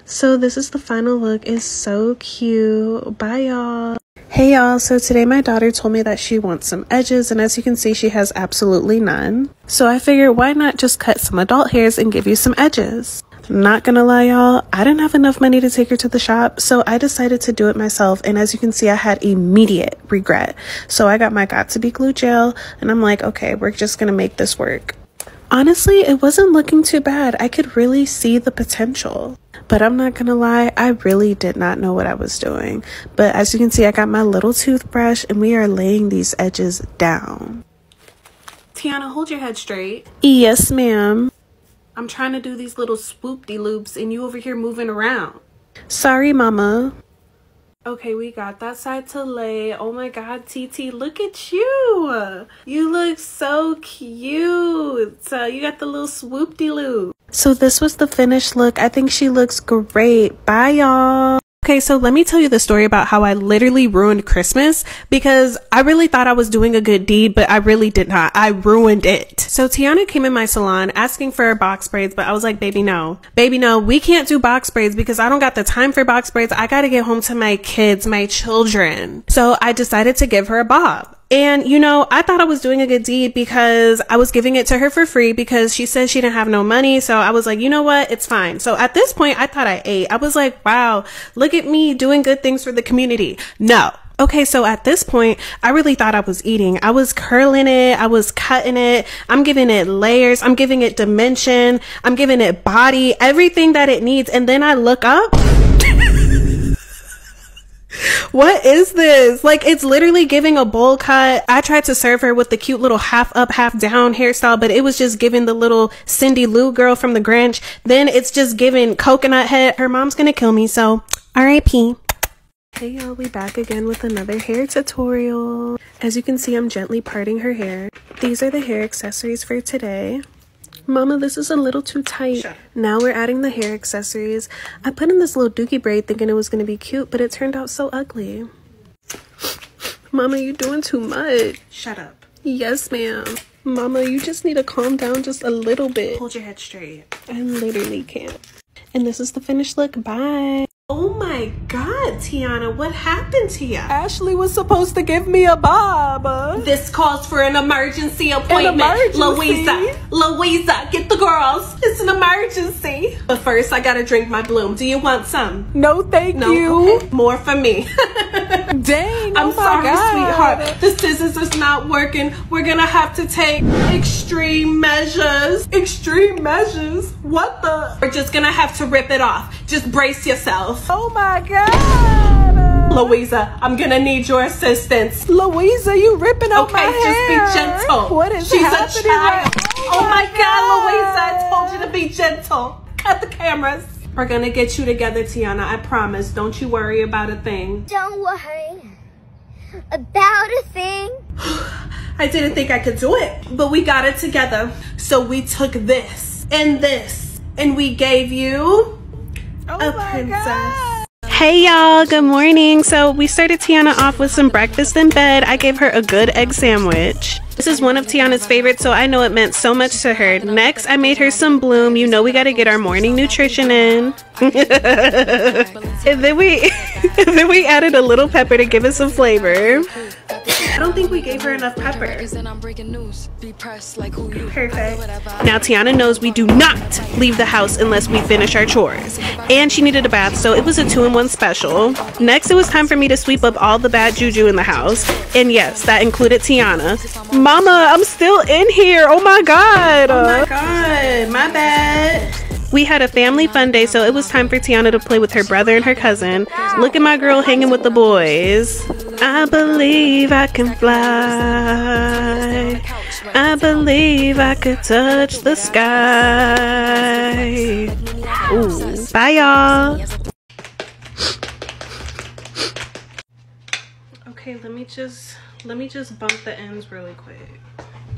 So this is the final look. It's so cute. Bye y'all. Hey y'all, so today my daughter told me that she wants some edges and as you can see she has absolutely none. So I figured why not just cut some adult hairs and give you some edges. Not gonna lie y'all, I didn't have enough money to take her to the shop so I decided to do it myself and as you can see I had immediate regret. So I got my got to be glue gel, and I'm like, okay, we're just going to make this work. Honestly, it wasn't looking too bad. I could really see the potential. But I'm not gonna lie, I really did not know what I was doing. But as you can see, I got my little toothbrush and we are laying these edges down. Tiana, hold your head straight. Yes, ma'am. I'm trying to do these little swoopy loops and you over here moving around. Sorry, mama. Okay, we got that side to lay. Oh my god, TT, look at you! You look so cute! So uh, you got the little swoopy de loop So this was the finished look. I think she looks great. Bye, y'all! Okay, so let me tell you the story about how I literally ruined Christmas because I really thought I was doing a good deed, but I really did not. I ruined it. So Tiana came in my salon asking for box braids, but I was like, baby, no. Baby, no, we can't do box braids because I don't got the time for box braids. I got to get home to my kids, my children. So I decided to give her a bob. And you know, I thought I was doing a good deed because I was giving it to her for free because she said she didn't have no money. So I was like, you know what? It's fine. So at this point, I thought I ate. I was like, wow, look at me doing good things for the community. No. Okay, so at this point, I really thought I was eating. I was curling it, I was cutting it, I'm giving it layers. I'm giving it dimension. I'm giving it body, everything that it needs. And then I look up. what is this? Like, it's literally giving a bowl cut. I tried to serve her with the cute little half up, half down hairstyle, but it was just giving the little Cindy Lou girl from the Grinch. Then it's just giving coconut head. Her mom's gonna kill me, so RIP. Hey y'all, Be back again with another hair tutorial. As you can see, I'm gently parting her hair. These are the hair accessories for today. Mama, this is a little too tight. Now we're adding the hair accessories. I put in this little dookie braid thinking it was going to be cute, but it turned out so ugly. Mama, you're doing too much. Shut up. Yes, ma'am. Mama, you just need to calm down just a little bit. Hold your head straight. I literally can't. And this is the finished look. Bye. Oh my God, Tiana, what happened to you? Ashley was supposed to give me a bob. This calls for an emergency appointment. Louisa, Louisa, get the girls. It's an emergency. But first, I gotta drink my bloom. Do you want some? No, thank you. Okay. More for me. Dang, I'm oh sorry, sweetheart. The scissors is not working. We're gonna have to take extreme measures. Extreme measures? What? We're just gonna have to rip it off. Just brace yourself. Oh my God. Louisa, I'm gonna need your assistance. Louisa, you ripping up my hair. Okay, just be gentle. What is She's happening? She's a child. Oh, oh, my God, Louisa, I told you to be gentle. Cut the cameras. We're gonna get you together, Tiana, I promise. Don't you worry about a thing. Don't worry about a thing. I didn't think I could do it, but we got it together. So we took this and this and we gave you oh a princess. Hey y'all, good morning. So we started Tiana off with some breakfast in bed. I gave her a good egg sandwich. This is one of Tiana's favorites, so I know it meant so much to her. Next, I made her some bloom. You know we gotta get our morning nutrition in. and then we then we added a little pepper to give it some flavor. I don't think we gave her enough pepper. Perfect. Now Tiana knows we do not leave the house unless we finish our chores. And she needed a bath, so it was a two-in-one special. Next, it was time for me to sweep up all the bad juju in the house. And yes, that included Tiana. Mama, I'm still in here. Oh my god. Oh my god. My bad. We had a family fun day, so it was time for Tiana to play with her brother and her cousin. Look at my girl hanging with the boys. I believe I can fly. I believe I could touch the sky. Ooh. Bye, y'all. Okay, let me just let me just bump the ends really quick.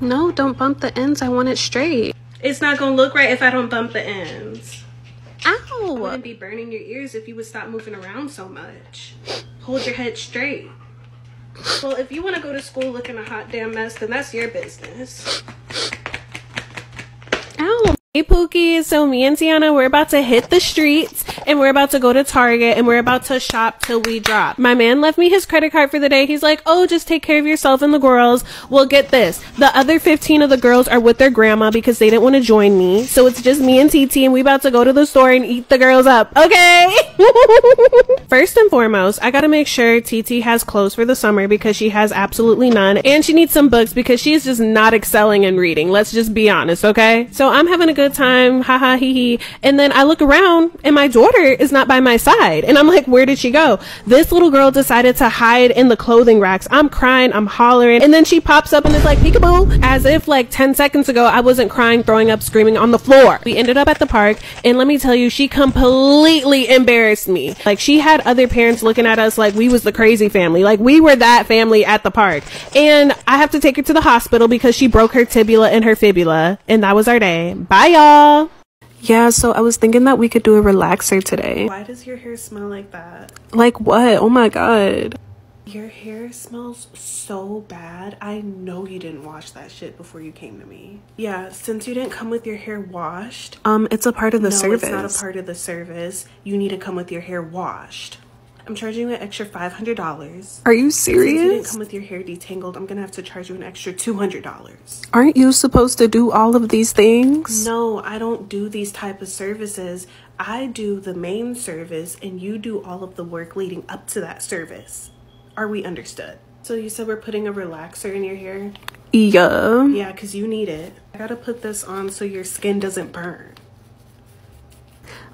No, don't bump the ends. I want it straight. It's not gonna look right if I don't bump the ends. Ow! I wouldn't be burning your ears if you would stop moving around so much. Hold your head straight. Well, if you want to go to school looking a hot damn mess, then that's your business. Ow. Hey Pookie, so me and Tiana, we're about to hit the streets and we're about to go to Target and we're about to shop till we drop. My man left me his credit card for the day. He's like, oh, just take care of yourself and the girls. Well, get this. The other 15 of the girls are with their grandma because they didn't want to join me. So it's just me and TT and we about to go to the store and eat the girls up. Okay. First and foremost, I got to make sure TT has clothes for the summer because she has absolutely none. And she needs some books because she's just not excelling in reading. Let's just be honest. Okay. So I'm having a good time. Ha ha hee hee. And then I look around and my daughter is not by my side. And I'm like, where did she go? This little girl decided to hide in the clothing racks. I'm crying, I'm hollering. And then she pops up and is like, peekaboo, as if like 10 seconds ago, I wasn't crying, throwing up, screaming on the floor. We ended up at the park. And let me tell you, she completely embarrassed me. Like she had other parents looking at us like we was the crazy family. Like we were that family at the park. And I have to take her to the hospital because she broke her tibia and her fibula. And that was our day. Bye y'all. Yeah, so I was thinking that we could do a relaxer today. Why does your hair smell like that? Like what? Oh my god. Your hair smells so bad. I know you didn't wash that shit before you came to me. Yeah, since you didn't come with your hair washed. Um, it's a part of the service. it's not a part of the service. You need to come with your hair washed. I'm charging you an extra $500. Are you serious? Since you didn't come with your hair detangled, I'm gonna have to charge you an extra $200. Aren't you supposed to do all of these things? No, I don't do these type of services. I do the main service and you do all of the work leading up to that service. Are we understood? So you said we're putting a relaxer in your hair? Yeah. Yeah, because you need it. I gotta put this on so your skin doesn't burn.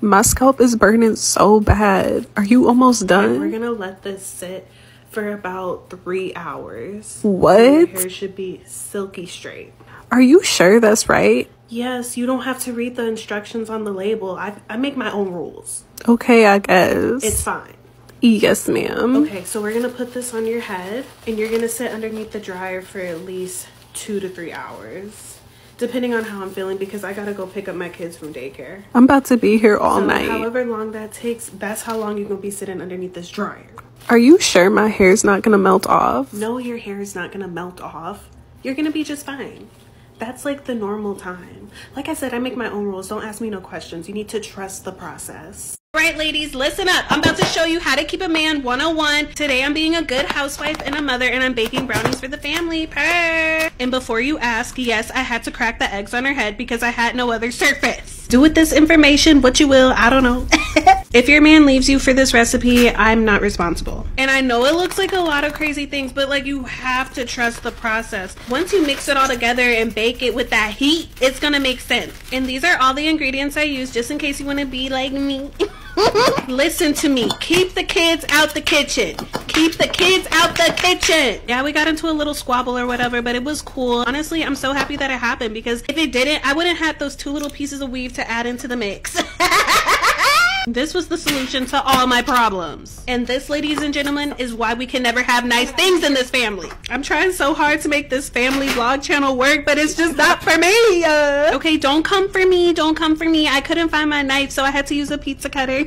My scalp is burning so bad. Are you almost done? we're gonna let this sit for about three hours. What? Your hair should be silky straight. Are you sure that's right? Yes, you don't have to read the instructions on the label. I, I make my own rules. Okay, I guess. It's fine. Yes, ma'am. Okay, so we're gonna put this on your head and you're gonna sit underneath the dryer for at least two to three hours depending on how I'm feeling because I gotta go pick up my kids from daycare. I'm about to be here all night. However long that takes, that's how long you're gonna be sitting underneath this dryer. Are you sure my hair is not going to melt off? No, your hair is not going to melt off. You're going to be just fine. That's like the normal time. Like I said, I make my own rules. Don't ask me no questions. You need to trust the process. All right, ladies, listen up. I'm about to show you how to keep a man 101. Today, I'm being a good housewife and a mother, and I'm baking brownies for the family. Per. And before you ask, yes, I had to crack the eggs on her head because I had no other surface do with this information what you will. I don't know. if your man leaves you for this recipe, I'm not responsible. And I know it looks like a lot of crazy things, but like you have to trust the process. Once you mix it all together and bake it with that heat, it's gonna make sense. And these are all the ingredients I use just in case you wanna be like me. Listen to me. Keep the kids out the kitchen. Keep the kids out the kitchen. Yeah, we got into a little squabble or whatever, but it was cool. Honestly, I'm so happy that it happened because if it didn't, I wouldn't have those two little pieces of weave to add into the mix. This was the solution to all my problems. And this, ladies and gentlemen, is why we can never have nice things in this family. I'm trying so hard to make this family vlog channel work, but it's just not for me. Uh. Okay, don't come for me. Don't come for me. I couldn't find my knife, so I had to use a pizza cutter.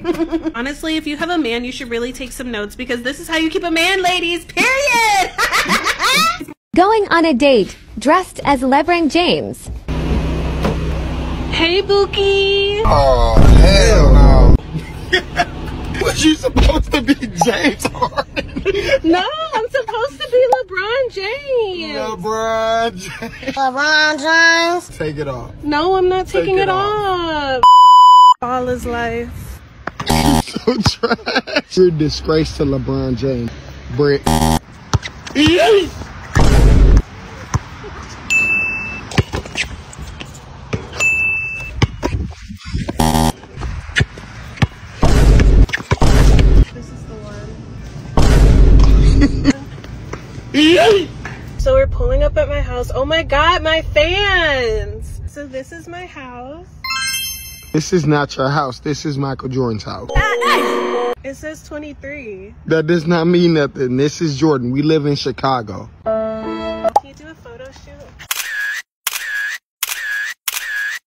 Honestly, if you have a man, you should really take some notes because this is how you keep a man, ladies, period. Going on a date, dressed as LeBron James. Hey, Bookie! Oh, hell no. Was you supposed to be James Harden? no, I'm supposed to be LeBron James. LeBron James. LeBron James. Take it off. No, I'm not taking it, off. off. All is life. so You're disgrace to LeBron James. Brick. so we're pulling up at my house. Oh my god, my fans! So this is my house. This is not your house. This is Michael Jordan's house. It says 23. That does not mean nothing. This is Jordan. We live in Chicago.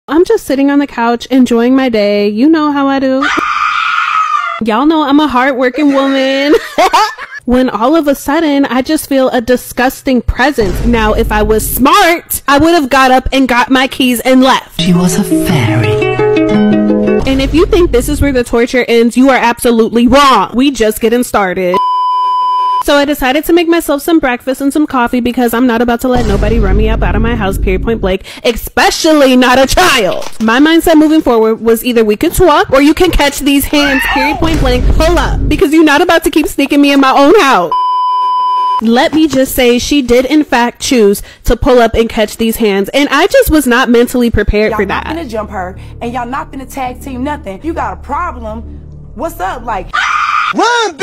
I'm just sitting on the couch, enjoying my day. You know how I do. Y'all know I'm a hardworking woman. when all of a sudden, I just feel a disgust disgusting Now, if I was smart, I would have got up and got my keys and left. She was a fairy. And if you think this is where the torture ends, you are absolutely wrong. We just getting started. So I decided to make myself some breakfast and some coffee because I'm not about to let nobody run me up out of my house, period point Blake, especially not a child. My mindset moving forward was either we can swap or you can catch these hands, period point blank, pull up because you're not about to keep sneaking me in my own house. Let me just say, she did in fact choose to pull up and catch these hands, and I just was not mentally prepared y'all for that. Y'all not gonna jump her, and y'all not gonna tag team nothing. You got a problem? What's up? Like, run,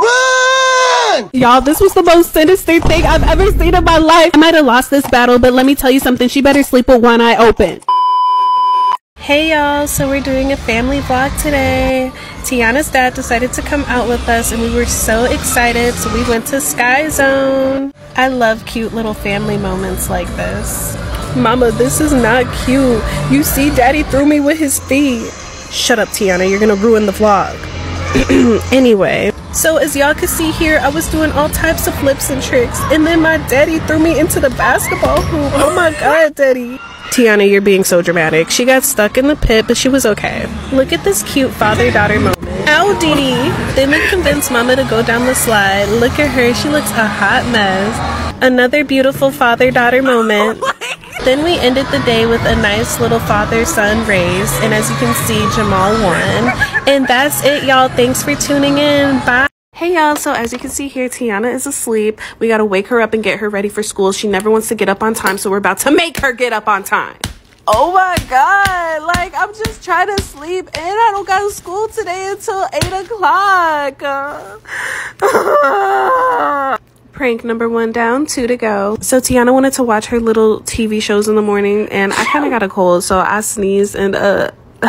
run! Y'all, this was the most sinister thing I've ever seen in my life. I might have lost this battle, but let me tell you something. She better sleep with one eye open. Hey y'all, so we're doing a family vlog today. Tiana's dad decided to come out with us, and we were so excited, so we went to Sky Zone. I love cute little family moments like this. Mama, this is not cute. You see, Daddy threw me with his feet. Shut up, Tiana. You're gonna ruin the vlog. anyway. So as y'all can see here, I was doing all types of flips and tricks. And then my daddy threw me into the basketball hoop. Oh my God, daddy. Tiana, you're being so dramatic. She got stuck in the pit, but she was okay. Look at this cute father-daughter moment. Ow, they Dee! convinced Mama to go down the slide. Look at her, she looks a hot mess. Another beautiful father-daughter moment. Oh then we ended the day with a nice little father son race. And as you can see, Jamal won. And that's it, y'all. Thanks for tuning in. Bye. Hey y'all, so as you can see here, Tiana is asleep. We got to wake her up and get her ready for school. She never wants to get up on time, so we're about to make her get up on time. Oh my God. Like, I'm just trying to sleep and I don't go to school today until 8 o'clock. prank number one down, two to go. So Tiana wanted to watch her little TV shows in the morning and I kind of got a cold, so I sneezed and, uh,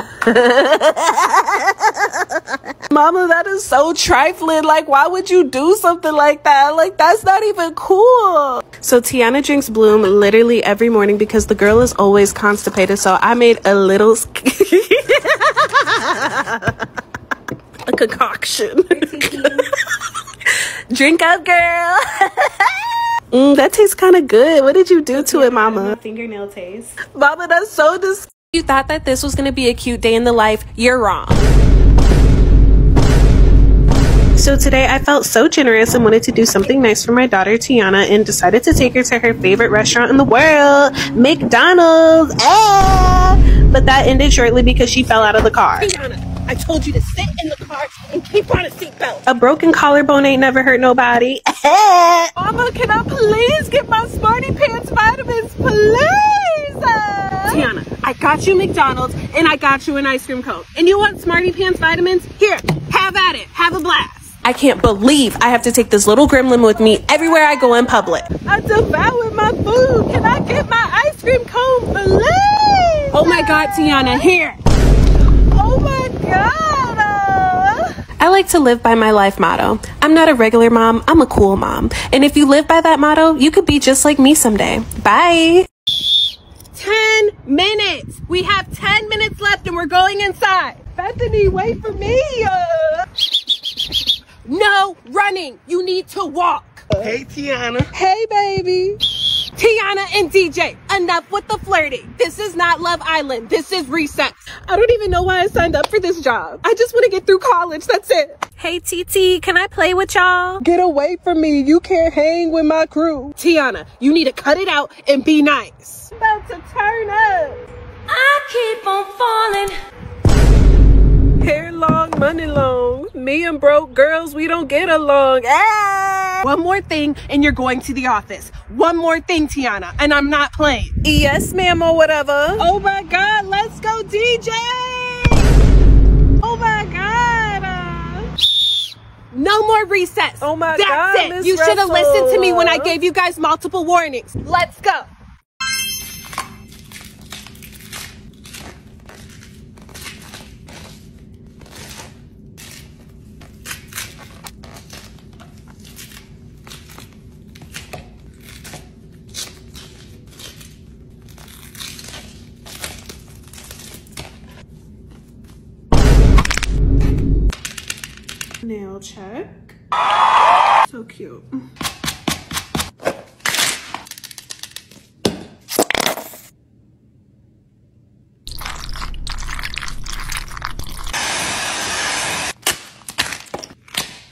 Mama, that is so trash. Like, why would you do something like that? Like, that's not even cool. So Tiana drinks Bloom literally every morning because the girl is always constipated. So I made a little a concoction. Drink up, girl. Mm, that tastes kind of good. What did you do to it, mama? Fingernail taste. Mama, that's so disgusting. You thought that this was going to be a cute day in the life you're wrong. So today I felt so generous and wanted to do something nice for my daughter Tiana and decided to take her to her favorite restaurant in the world, McDonald's. Ah! But that ended shortly because she fell out of the car. Tiana. I told you to sit in the car and keep on a seatbelt. A broken collarbone ain't never hurt nobody. Mama, can I please get my Smarty Pants vitamins, please? Tiana, I got you McDonald's and I got you an ice cream cone. And you want Smarty Pants vitamins? Here, have at it. Have a blast. I can't believe I have to take this little gremlin with me everywhere I go in public. I devour my food. Can I get my ice cream cone, please? Oh my God, Tiana, here. Oh my God. I like to live by my life motto. I'm not a regular mom, I'm a cool mom. And if you live by that motto, you could be just like me someday. Bye. 10 minutes. We have 10 minutes left and we're going inside. Bethany, wait for me. No running. You need to walk. Hey, Tiana. Hey, baby. Tiana and DJ, enough with the flirting. This is not Love Island. This is recess. I don't even know why I signed up for this job. I just want to get through college. That's it. Hey TT, can I play with y'all? Get away from me. You can't hang with my crew. Tiana, you need to cut it out and be nice. about to turn up. I keep on falling. Hair long, money long. Me and broke girls, we don't get along. Ah! One more thing and you're going to the office. One more thing, Tiana, and I'm not playing. Yes, ma'am, or whatever. Oh my God, let's Let's go, DJ! Oh my God. Uh, no more recess. Oh my God. You should have listened to me when I gave you guys multiple warnings. Let's go. Nail check. So cute.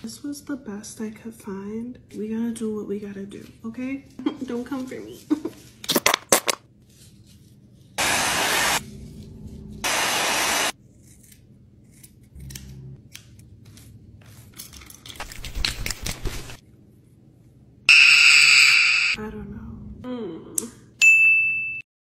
This was the best I could find. We gotta do what we gotta do okay? Don't come for me. I don't know. Hmm.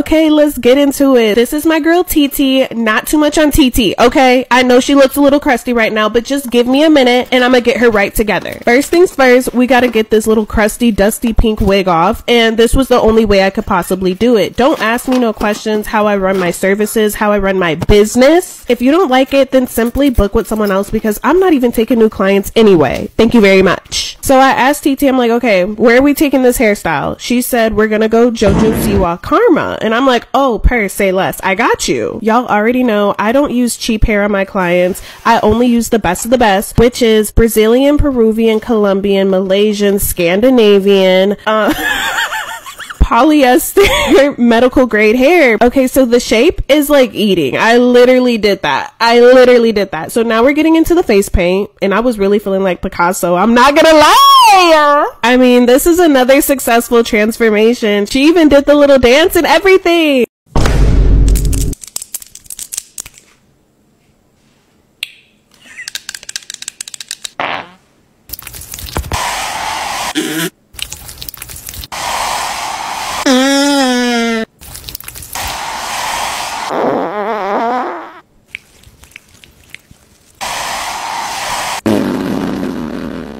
Okay, let's get into it. This is my girl TT. Not too much on TT, okay? I know she looks a little crazy right now, but just give me a minute and I'm gonna get her right together. First things first, we gotta get this little crusty, dusty pink wig off, and this was the only way I could possibly do it. Don't ask me no questions how I run my services, how I run my business. If you don't like it, then simply book with someone else because I'm not even taking new clients anyway. Thank you very much. So I asked TT, I'm like, okay, where are we taking this hairstyle? She said, we're gonna go Jojo Siwa Karma. And I'm like, oh, per say less. I got you. Y'all already know I don't use cheap hair on my clients. I only use the best of the best, which is Brazilian, Peruvian, Colombian, Malaysian, Scandinavian. Uh, polyester medical grade hair. Okay, so the shape is like eating. I literally did that. I literally did that. So now we're getting into the face paint, and I was really feeling like Picasso. I'm not gonna lie. I mean, this is another successful transformation. She even did the little dance and everything.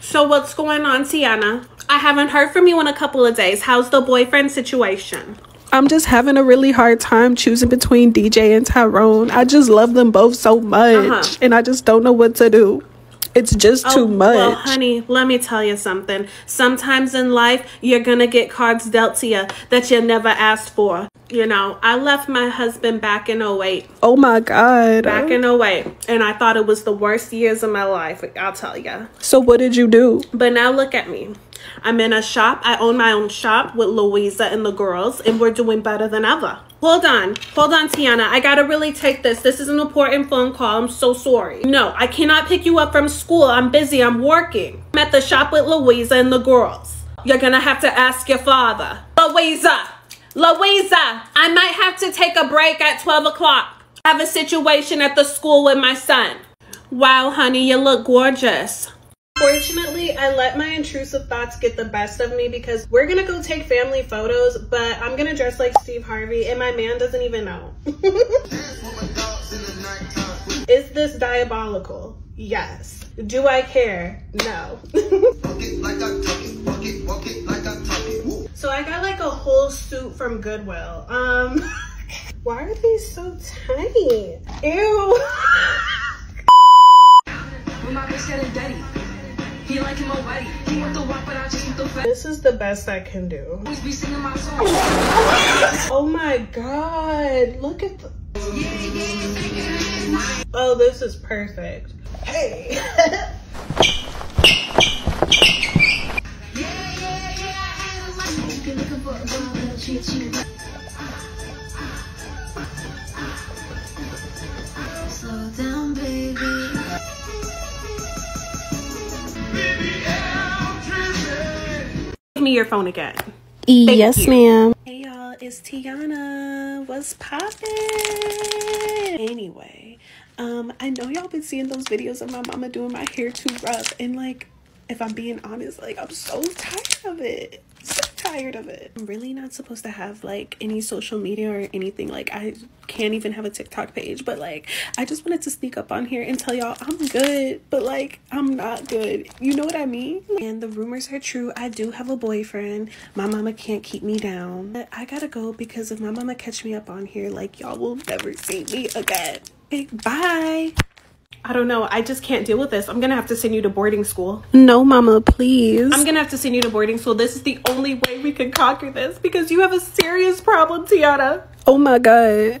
So what's going on, Tiana? I haven't heard from you in a couple of days. How's the boyfriend situation? I'm just having a really hard time choosing between DJ and Tyrone. I just love them both so much, uh-huh. and I just don't know what to do. It's just too oh, much. honey, let me tell you something. Sometimes in life, you're going to get cards dealt to you that you never asked for. You know, I left my husband back in 08. Oh my God. Back in 08. And I thought it was the worst years of my life, I'll tell you. So, what did you do? But now look at me. I'm in a shop. I own my own shop with Louisa and the girls, and we're doing better than ever. Hold on. Hold on, Tiana. I gotta really take this. This is an important phone call. I'm so sorry. No, I cannot pick you up from school. I'm busy. I'm working. I'm at the shop with Louisa and the girls. You're gonna have to ask your father. Louisa, Louisa, I might have to take a break at 12 o'clock. have a situation at the school with my son. Wow, honey, you look gorgeous. Fortunately, I let my intrusive thoughts get the best of me because we're gonna go take family photos, but I'm gonna dress like Steve Harvey and my man doesn't even know. Is this diabolical? Yes. Do I care? No so I got like a whole suit from Goodwill. Um, why are these so tiny? Ew. This is the best I can do. Oh my god, look at. Oh, this is perfect. Hey. Slow down, baby. Give me your phone again. Thank yes, ma'am. Hey y'all, it's Tiana. What's poppin'? Anyway, um, I know y'all been seeing those videos of my mama doing my hair too rough and like, if I'm being honest, like I'm so tired of it. So tired of it. I'm really not supposed to have like any social media or anything. Like I can't even have a TikTok page, but like I just wanted to speak up on here and tell y'all I'm good, but like I'm not good. You know what I mean? And the rumors are true. I do have a boyfriend. My mama can't keep me down. I gotta go because if my mama catch me up on here, like y'all will never see me again. bye. I don't know. I just can't deal with this. I'm going to have to send you to boarding school. No, mama, please. I'm going to have to send you to boarding school. This is the only way we can conquer this because you have a serious problem, Tianna. Oh my God.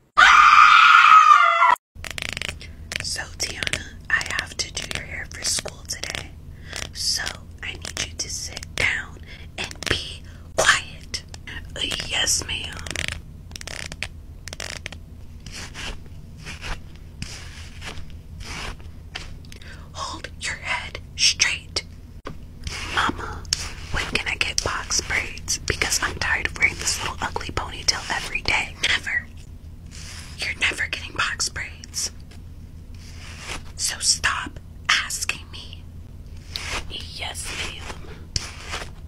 So, Tiana, I have to do your hair for school today. So, I need you to sit down and be quiet. yes, ma'am. Hold your head straight. Mama, when can I get box braids? Because I'm tired of wearing this little ugly ponytail every day. Never. You're never getting box braids. So stop asking me. Yes, ma'am.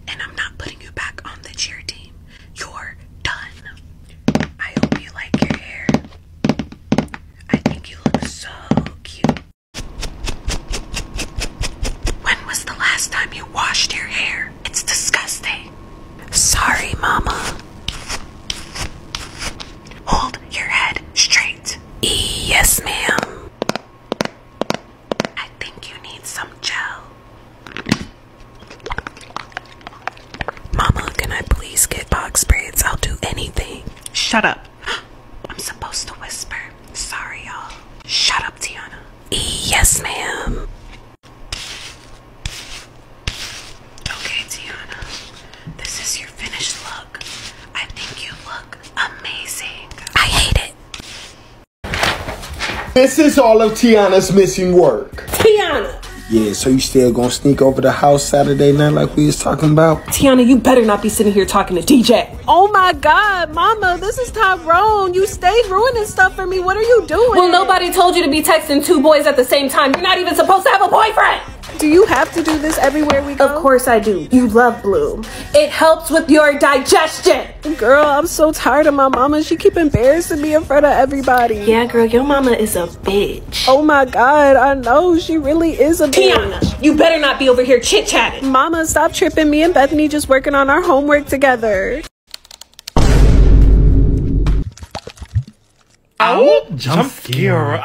And I'm not putting you back on the cheer team. You're done. I hope you like your hair. I think you look so cute. When was the last time you washed your hair? It's disgusting. Sorry, Mama. Hold your head straight. Yes, ma'am. I think you need some gel. Mama, can I please get box braids? I'll do anything. Shut up. I'm supposed to whisper. Sorry, y'all. Shut up, Tiana. Yes, ma'am. Okay, Tiana. This is your finished look. I think you look amazing. I hate it. This is all of Tiana's missing work. Tiana! Yeah, so you still gonna sneak over the house Saturday night like we was talking about? Tiana, you better not be sitting here talking to DJ oh my God, Mama, this is Tyrone. You stay ruining stuff for me. What are you doing? Well, nobody told you to be texting two boys at the same time. You're not even supposed to have a boyfriend. Do you have to do this everywhere we go? Of course I do. You love Bloom. It helps with your digestion. Girl, I'm so tired of my mama. She keep embarrassing me in front of everybody. Yeah, girl, your mama is a bitch. Oh my God, I know. She really is a Tiana, bitch. you better not be over here chit-chatting. Mama, stop tripping. Me and Bethany just working on our homework together. Ow! Jump, Jump scare.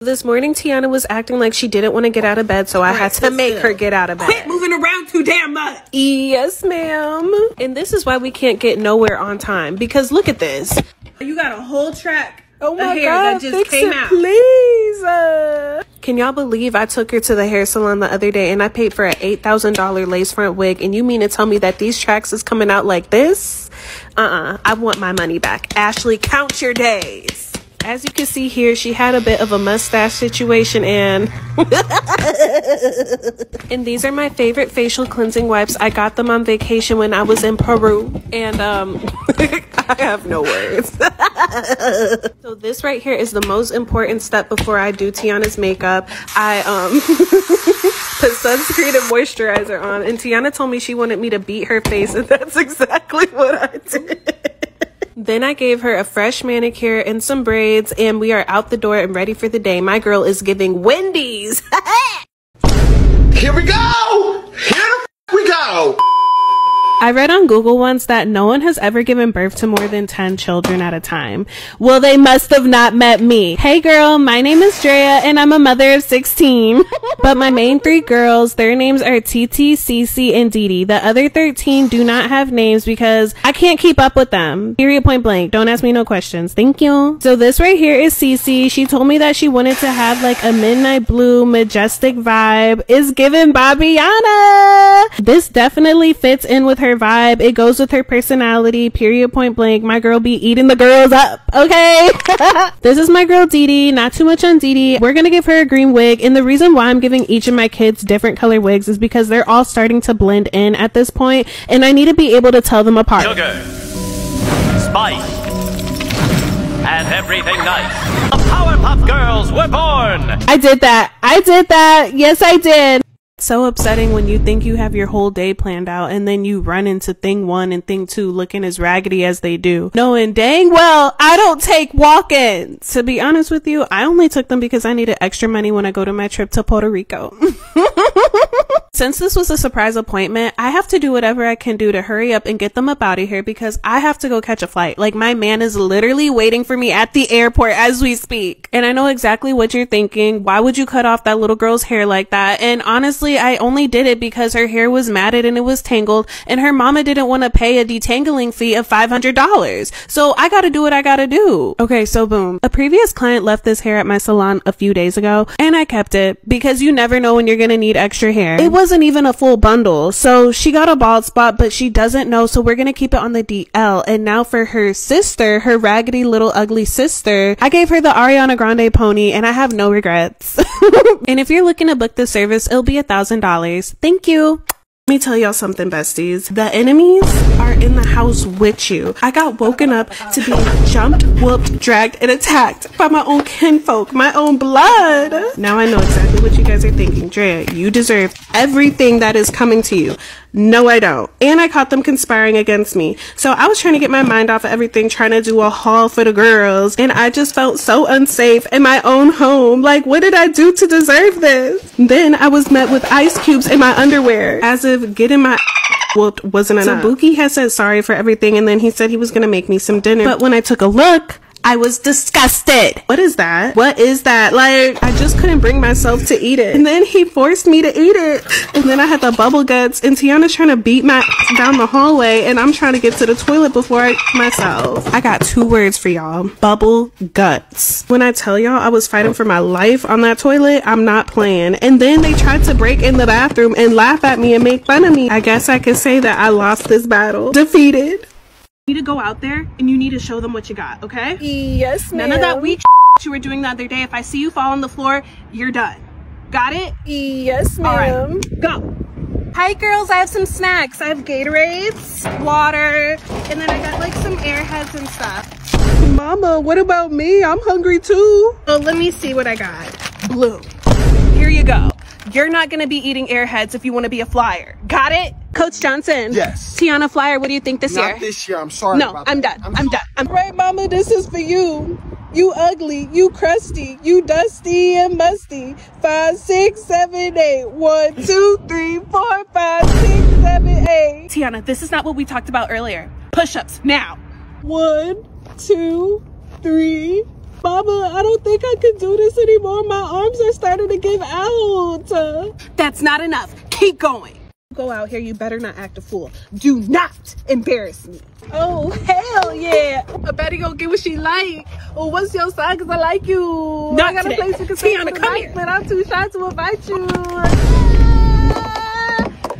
This morning, Tiana was acting like she didn't want to get out of bed, so I had to make her get out of bed. Quit moving around too damn much yes, ma'am. And this is why we can't get nowhere on time because look at this. You got a whole track Oh my god, fix it, out. please. Uh, can y'all believe I took her to the hair salon the other day and I paid for an $8,000 lace front wig and you mean to tell me that these tracks is coming out like this? Uh-uh, I want my money back. Ashley, count your days. As you can see here, she had a bit of a mustache situation and and these are my favorite facial cleansing wipes. I got them on vacation when I was in Peru. And um, I have no words. so this right here is the most important step before I do Tiana's makeup. I um, put sunscreen and moisturizer on. And Tiana told me she wanted me to beat her face. And that's exactly what I did. then I gave her fresh manicure, and some braids, and we are out the door and ready for the day. My girl is giving Wendy's. Here we go! Here we go! I read on Google once that no one has ever given birth to more than 10 children at a time. Well, they must have not met me. Hey girl, my name is Dreya, and I'm a mother of 16. but my main three girls, their names are TT, CC, and Didi. The other 13 do not have names because I can't keep up with them. Period point blank. Don't ask me no questions. Thank you. So this right here is CC. She told me that she wanted to have like a midnight blue majestic vibe. Is given by Bobbiana. This definitely fits in with her vibe. It goes with her personality. Period point blank. My girl be eating the girls up. Okay. this is my girl Dee Dee. Not too much on Dee Dee. We're going to give her a green wig. And the reason why I'm giving each of my kids kids different color wigs is because they're all starting to blend in at this point, and I need to be able to tell them apart. I did that. I did that. Yes, I did so upsetting when you think you have your whole day planned out and then you run into thing one and thing two looking as raggedy as they do. Knowing dang well, I don't take walk-ins. To be honest with you, I only took them because I needed extra money when I go to my trip to Puerto Rico. Since this was a surprise appointment, I have to do whatever I can do to hurry up and get them up out of here because I have to go catch a flight. Like my man is literally waiting for me at the airport as we speak. And I know exactly what you're thinking. Why would you cut off that little girl's hair like that? And honestly, I only did it because her hair was matted and it was tangled and her mama didn't want to pay a detangling fee of $500. So I gotta do what I gotta do. Okay, so boom. A previous client left this hair at my salon a few days ago and I kept it because you never know when you're gonna need extra hair. It wasn't even a full bundle. So she got a bald spot, but she doesn't know. So we're gonna keep it on the DL. And now for her sister, her raggedy little ugly sister, I gave her the Ariana Grande pony and I have no regrets. and if you're looking to book the service, it'll be a thousand dollars. Thank you. Let me tell y'all something, best the enemies are in the house with you. I got woken up to being jumped, whooped, dragged, and attacked by my own kinfolk, my own blood. Now I know exactly what you guys are thinking. Drea, you deserve everything that is coming to you. No, I don't. And I caught them conspiring against me. So I was trying to get my mind off everything, trying to do a haul for the girls. And I just felt so unsafe in my own home. Like, what did I do to deserve this? Then I was met with ice cubes in my underwear, as if getting my whooped wasn't enough. So Buki had said sorry for everything, and then he said he was gonna make me some dinner. But when I took a look, I was disgusted. What is that? What is that? Like, I just couldn't bring myself to eat it. And then he forced me to eat it. And then I had the bubble guts and Tiana's trying to beat my down the hallway and I'm trying to get to the toilet before I myself. I got two words for y'all. Bubble gut. When I tell y'all I was fighting for my life on that toilet, I'm not playing. And then they tried to break in the bathroom and laugh at me and make fun of me. I guess I can say that I lost this battle. Defeated. You need to go out there and you need to show them what you got, okay? Yes, ma'am. None of that weak you were doing the other day. If I see you fall on the floor, you're done. Got it? Yes, ma'am. All right, go. Hi girls, I have some snacks. I have Gatorades, water, and then I got like some airheads and stuff. Mama, what about me? I'm hungry too. Well, let me see what I got. Blue. Here you go. You're not gonna be eating airheads if you wanna be a flyer. Got it? Coach Johnson. Yes. Tiana Flyer, what do you think this not this year. I'm sorry. No, I'm done. I'm, done. I'm right, Mama, this is for you. You ugly, you crusty, you dusty and musty. Five, six, seven, eight, one, two, three, four, Tiana, this is not what we talked about earlier. Push-ups, now. One, two, three. Mama, I don't think I can do this anymore. My arms are starting to give out. That's not enough. Keep going. Go out here, you better not act a fool. Do not embarrass me. Oh, hell yeah. I better go get what she like. Oh, what's your side? Because I like you. Not I got a place you can stay on the here. But I'm too shy to invite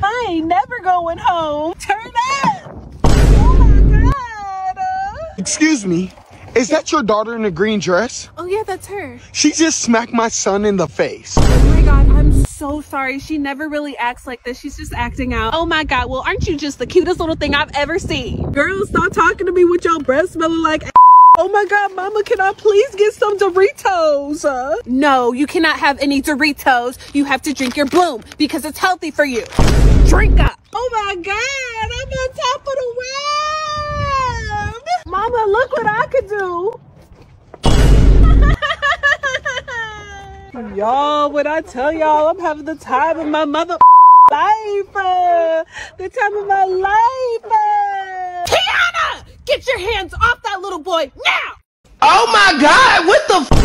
I ain't never going home. Turn up. Oh Excuse me. Is that your daughter in a green dress? Oh yeah, that's her. She just smacked my son in the face. Oh my god, I'm so sorry. She never really acts like this. She's just acting out. Oh my god, well aren't you just the cutest little thing I've ever seen? Girls, stop talking to me with your breath smelling like Oh my god, mama, can I please get some Doritos. no, you cannot have any Doritos. You have to drink your Bloom because it's healthy for you. Drink up. Oh my God, I'm on top of the world. Mama, look what I could do. y'all, when I tell y'all I'm having the time of my mother life, uh, the time of my life. Uh. get your hands off that little boy Oh my God, what the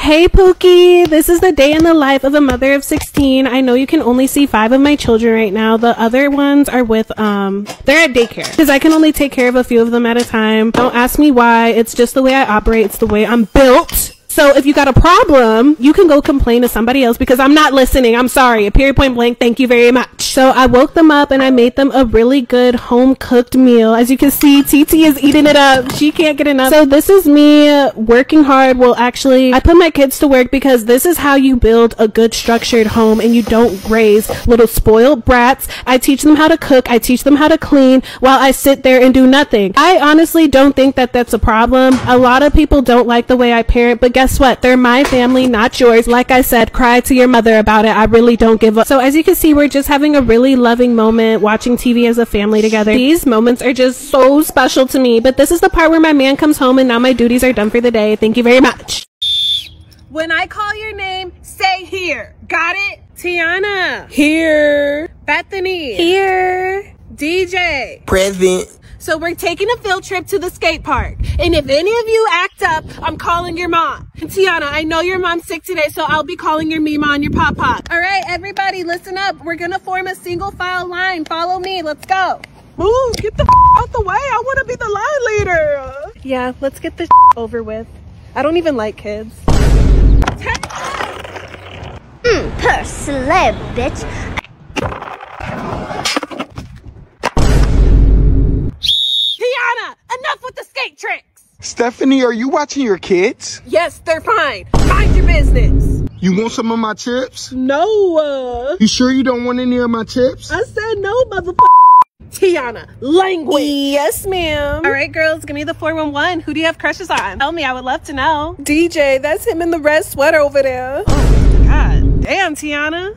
Hey Pookie, this is the day in the life of a mother of 16. I know you can only see five of my children right now. The other ones are with, um, they're at daycare because I can only take care of a few of them at a time. Don't ask me why. It's just the way I operate. It's the way I'm built. So if you got a problem, you can go complain to somebody else because I'm not listening. I'm sorry. A period point blank. Thank you very much. So I woke them up and I made them a really good home cooked meal. As you can see, TT is eating it up. She can't get enough. So this is me working hard. Well, actually, I put my kids to work because this is how you build a good structured home and you don't raise little spoiled brats. I teach them how to cook. I teach them how to clean while I sit there and do nothing. I honestly don't think that that's a problem. A lot of people don't like the way I parent, but guess what? they're my family, not yours. Like I said, cry to your mother about it. I really don't give up. So as you can see, we're just having a really loving moment watching TV as a family together. These moments are just so special to me, but this is the part where my man comes home and now my duties are done for the day. Thank you very much. When I call your name, say here. Got it? Tiana. Here. Bethany. Here. DJ. Present. So we're taking a field trip to the skate park. And if any of you ask up. I'm calling your mom. Tiana, I know your mom's sick today, so I'll be calling your mima and your pop pop. All right, everybody, listen up. We're gonna form a single file line. Follow me. Let's go. Move. get the out the way. I want to be the line leader. Yeah, let's get this over with. I don't even like kids. Mm, per slab, bitch. Tiana, enough with the skate tricks. Stephanie, are you watching your kids? Yes, they're fine. Mind your business. You want some of my chips? No. Uh, you sure you don't want any of my chips? I said no, motherfucker. Tiana, language. Yes, ma'am. All right, girls, give me the 411. Who do you have crushes on? Tell me, I would love to know. DJ, that's him in the red sweater over there. Oh, God. Damn, Tiana.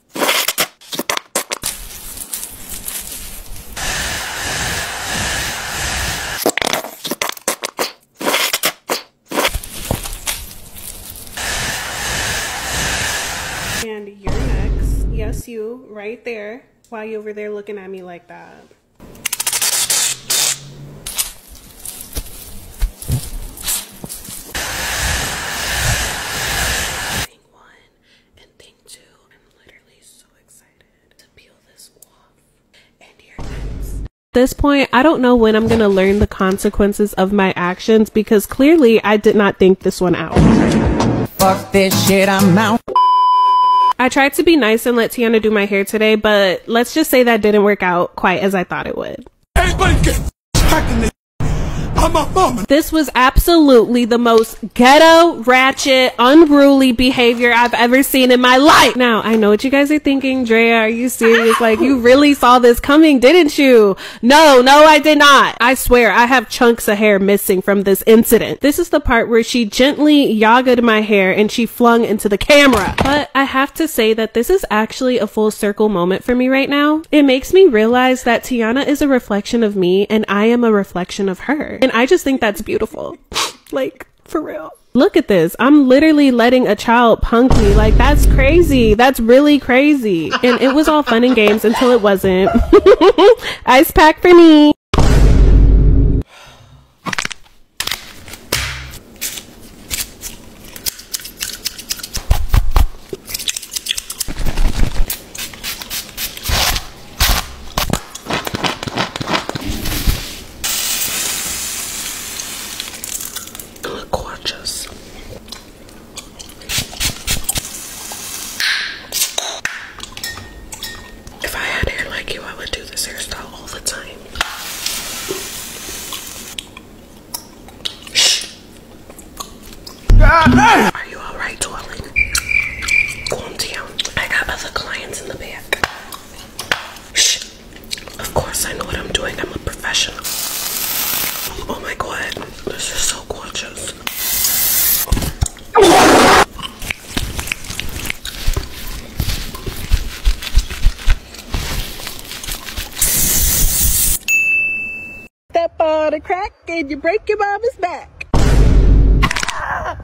And you're next. Yes, you, right there. Why you over there looking at me like that? this At this point, I don't know when I'm going to learn the consequences of my actions because clearly I did not think this one out. Fuck this shit, I'm out. I tried to be nice and let Tiana do my hair today, but let's just say that didn't work out quite as I thought it would. This was absolutely the most ghetto, ratchet, unruly behavior I've ever seen in my life. Now, I know what you guys are thinking. Drea, are you serious? Like, you really saw this coming, didn't you? No, no, I did not. I swear, I have chunks of hair missing from this incident. This is the part where she gently yagged my hair and she flung into the camera. But I have to say that this is actually a full circle moment for me right now. It makes me realize that Tiana is a reflection of me and I am a reflection of her. And I just think that's beautiful. like, for real. Look at this. I'm literally letting a child punk me. Like, that's crazy. That's really crazy. And it was all fun and games until it wasn't. Ice pack for me look gorgeous. If I had hair like you, I would do this hairstyle all the time. Shh. Are you alright, darling? Calm I got other clients in the back. Shh. Of course, I know what I'm doing. I'm a professional. Oh my god, this is so gorgeous. Step on a crack and you break your mama's back. Ah!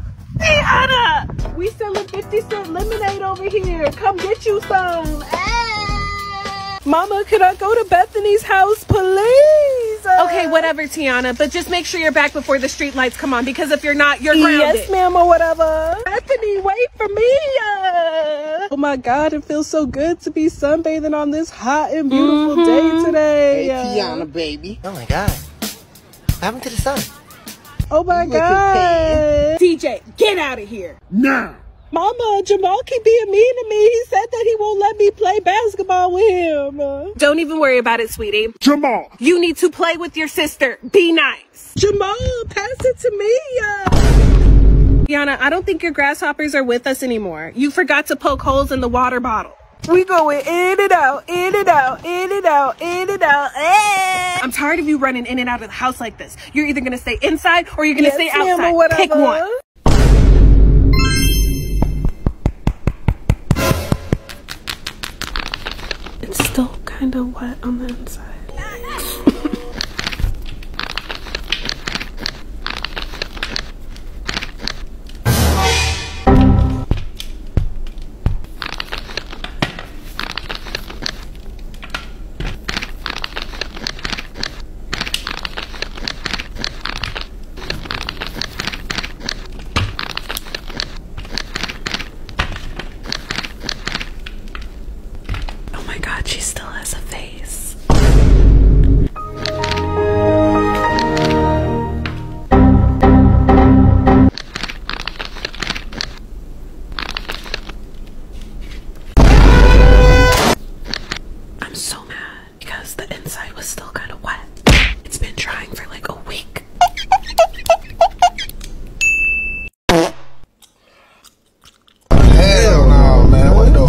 We selling 50 cent lemonade over here. Come get you some. Ah! Mama, could I go to Bethany's house, please? okay, whatever, Tiana. But just make sure you're back before the street lights come on because if you're not, you're grounded. Yes, ma'am, or whatever. Bethany, wait for me. Oh my God, it feels so good to be sunbathing on this hot and beautiful day mm-hmm. today. Hey, Tiana, baby. Oh my God. What happened to the sun? Oh my God. DJ, get out of here. Now. Mama, Jamal keep being mean to me. He said that he won't let me play basketball with him. Don't even worry about it, sweetie. Jamal. You need to play with your sister. Be nice. Jamal, pass it to me. Yana, I don't think your grasshoppers are with us anymore. You forgot to poke holes in the water bottle model. We going in and out, in and out, in and out, in and out. Hey. Eh. I'm tired of you running in and out of the house like this. You're either gonna stay inside or you're gonna stay outside. Ma'am, Pick one. It's still kind of wet on the inside. Oh my god, she still has a face. I'm so mad because the inside was still kind of wet. It's been drying for like a week. Hell no, man. What the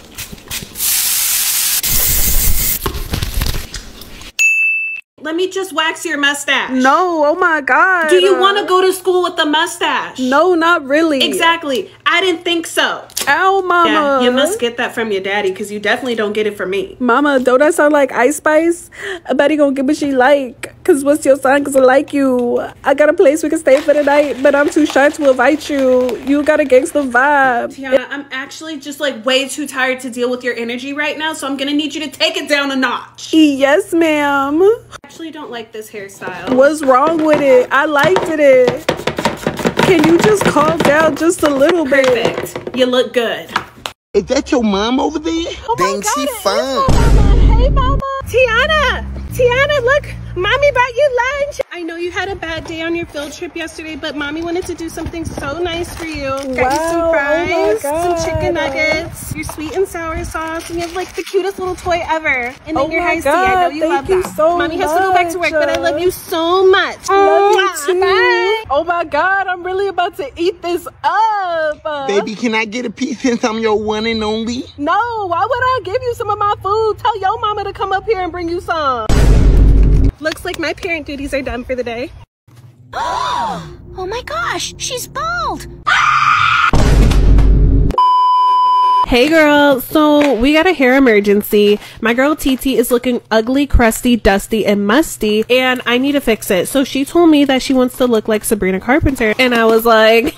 Let me just wax your mustache. No, oh my God. Do you want to go to school with a mustache? No, not really. Exactly. I didn't think so. Oh, mama. you must get that from your daddy because you definitely don't get it from me. Mama, don't I sound like Ice Spice? A buddy gonna give me she like. Cause what's your sign? Cause I like you. I got a place we can stay for the night, but I'm too shy to invite you. You got a gangster vibe. Tiana, I'm actually just like way too tired to deal with your energy right now, so I'm gonna need you to take it down a notch. Yes, ma'am. actually don't like this hairstyle. What's wrong with it? I liked it. Can you just calm down just a little bit? You look good. Is that your mom over there? Oh Dang, God, she Mama. Hey, mama. Tiana, Tiana, look, mommy brought you lunch. I know you had a bad day on your field trip yesterday but mommy wanted to do something so nice for you. Got wow, you some oh some chicken nuggets, your sweet and sour sauce, and you have like the cutest little toy ever. And then oh your high God, tea. I know you Thank love you that. So mommy has to go back to work, but I love you so much. Oh, love you too. Bye. Oh my God, I'm really about to eat this up. Baby, can I get a piece since I'm your one and only? No, why would I give you some of my food? Tell your mama to come up here and bring you some looks like my parent duties are done for the day. oh my gosh, she's bald! Hey girl, so we got a hair emergency. My girl Titi is looking ugly, crusty, dusty, and musty, and I need to fix it. So she told me that she wants to look like Sabrina Carpenter, and I was like,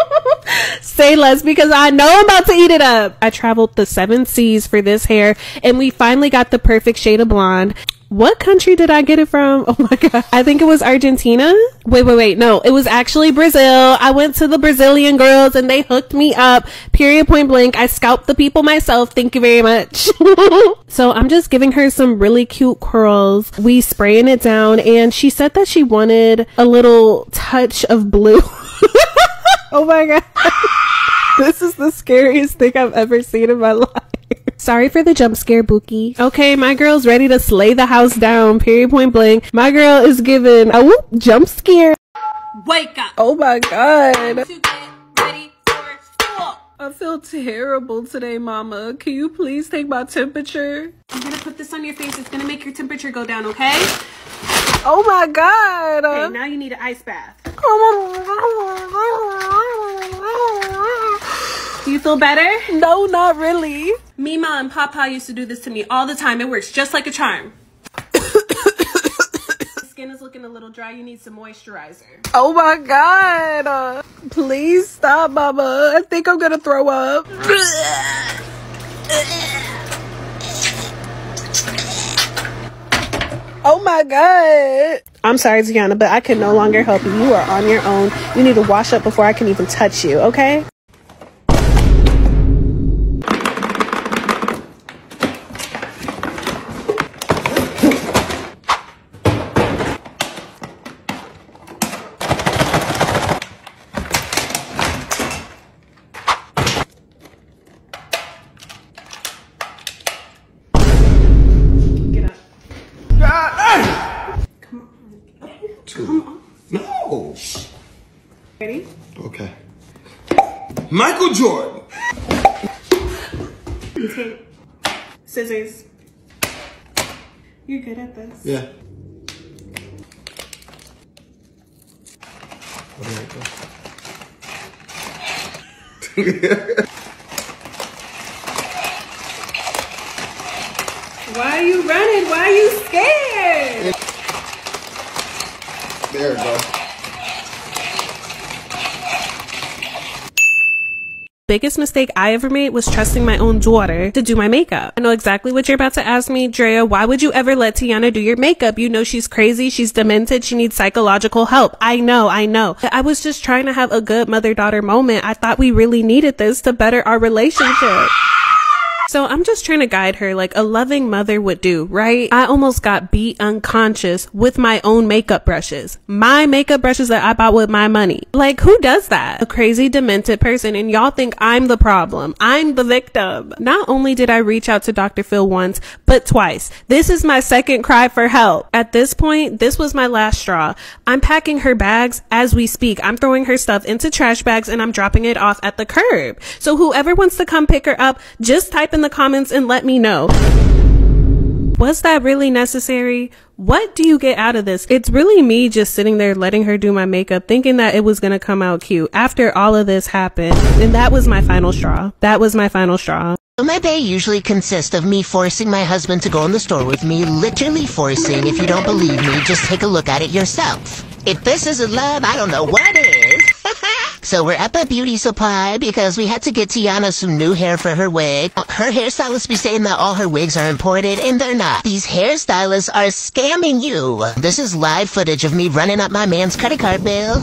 say less because I know I'm about to eat it up. I traveled the seven seas for this hair. And we finally got the perfect shade of blonde. What country did I get it from? Oh my God. I think it was Argentina. Wait, wait, wait. No, it was actually Brazil. I went to the Brazilian girls and they hooked me up. Period point blank. I scalped the people myself. Thank you very much. so I'm just giving her some really cute curls. We spraying it down and she said that she wanted a little touch of blue. oh my god. this is the scariest thing I've ever seen in my life. Sorry for the jump scare, Buki. Okay, my girl's ready to slay the house down, period point blank. My girl is given a whoop jump scare. Wake up. Oh my god. I feel terrible today, mama. Can you please take my temperature? I'm gonna put this on your face. It's gonna make your temperature go down, okay? Oh my god. Okay, now you need an ice bath. Do you feel better? No, not really. Mima and Papa used to do this to me all the time. It works just like a charm. Skin is looking a little dry. You need some moisturizer. Oh my God. please stop, Mama. I think I'm going to throw up. Oh my God. I'm sorry, Tiana, but I can no longer help you. You are on your own. You need to wash up before I can even touch you, okay? Get up. Ah, Come on. Come on. No. Ready? Okay. Michael Jordan. Tape. Scissors. You're good at this. Yeah. Why are you running? Why are you scared? There we go. biggest mistake I ever made was trusting my own daughter to do my makeup. I know exactly what you're about to ask me, Drea. Why would you ever let Tiana do your makeup? You know she's crazy. She's demented. She needs psychological help. I know. I know. I was just trying to have a good mother daughter moment. I thought we really needed this to better our relationship. So I'm just trying to guide her like a loving mother would do, right? I almost got beat unconscious with my own makeup brushes. My makeup brushes that I bought with my money. Like who does that? A crazy demented person and y'all think I'm the problem. I'm the victim. Not only did I reach out to Dr. Phil once, but twice. This is my second cry for help. At this point, this was my last straw. I'm packing her bags as we speak. I'm throwing her stuff into trash bags and I'm dropping it off at the curb. So whoever wants to come pick her up, just type in the comments and let me know. Was that really necessary? What do you get out of this? It's really me just sitting there letting her do my makeup, thinking that it was gonna come out cute after all of this happened. And that was my final straw. That was my final straw. My day usually consists of me forcing my husband to go in the store with me, literally forcing. If you don't believe me, just take a look at it yourself. If this isn't love, I don't know what is. so we're at a Beauty Supply because we had to get Tiana some new hair for her wig. Her hairstylist is saying that all her wigs are imported, and they're not. These hairstylists are scamming you. This is live footage of me running up my man's credit card Bill,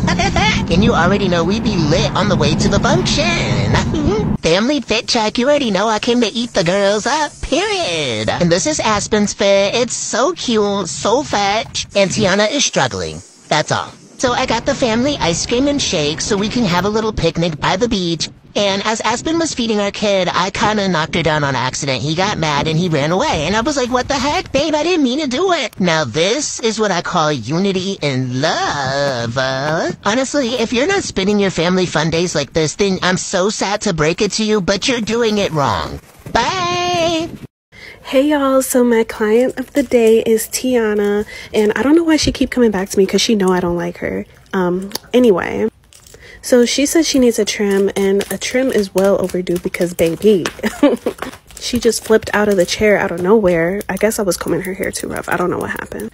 can you already know we be lit on the way to the function. Family fit check, you already know I came to eat the girls up, period. And this is Aspen's fit. It's so cute, so fat, and Tiana is struggling. That's all. So I got the family ice cream and shake so we can have a little picnic by the beach. And as Aspen was feeding our kid, I kinda knocked her down on accident. He got mad and he ran away. And I was like, what the heck, babe? I didn't mean to do it. Now this is what I call unity and love. Uh. honestly, if you're not spending your family fun days like this, then I'm so sad to break it to you, but you're doing it wrong. Bye! Hey y'all, so my client of the day is Tiana, and I don't know why she keep coming back to me because she know I don't like her. Um, anyway, so she says she needs a trim, and a trim is well overdue because baby. she just flipped out of the chair out of nowhere. I guess I was combing her hair too rough. I don't know what happened.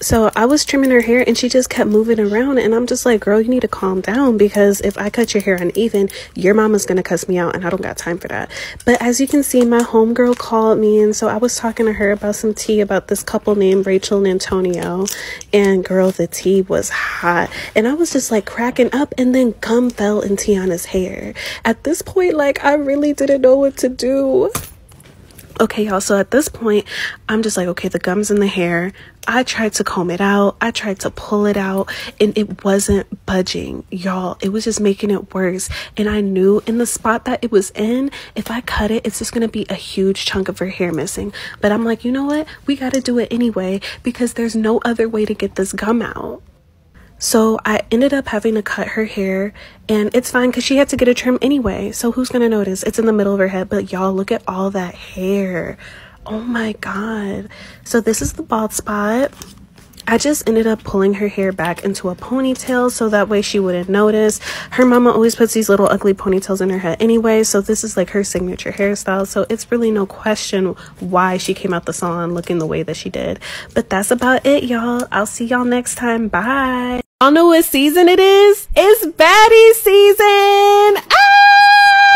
So I was trimming her hair and she just kept moving around. And I'm just like, girl, you need to calm down because if I cut your hair uneven, your mama's going to cuss me out and I don't got time for that. But as you can see, my homegirl called me. And so I was talking to her about some tea about this couple named Rachel and Antonio. And girl, the tea was hot. And I was just like cracking up. And then gum fell in Tiana's hair at this point, like, I really didn't know what to do. Okay, y'all, so at this point, I'm just like, okay, the gum's in the hair. I tried to comb it out, I tried to pull it out, and it wasn't budging, y'all. It was just making it worse. And I knew in the spot that it was in, if I cut it, it's just gonna be a huge chunk of her hair missing. But I'm like, you know what? We gotta do it anyway because there's no other way to get this gum out. So I ended up having to cut her hair, and it's fine because she had to get a trim anyway. So who's gonna notice? It's in the middle of her head, but y'all look at all that hair. Oh my god. So this is the bald spot. I just ended up pulling her hair back into a ponytail so that way she wouldn't notice. Her mama always puts these little ugly ponytails in her head anyway, so this is like her signature hairstyle. So it's really no question why she came out the salon looking the way that she did. But that's about it, y'all. I'll see y'all next time. Bye. Y'all know what season it is? It's baddie season! Ah!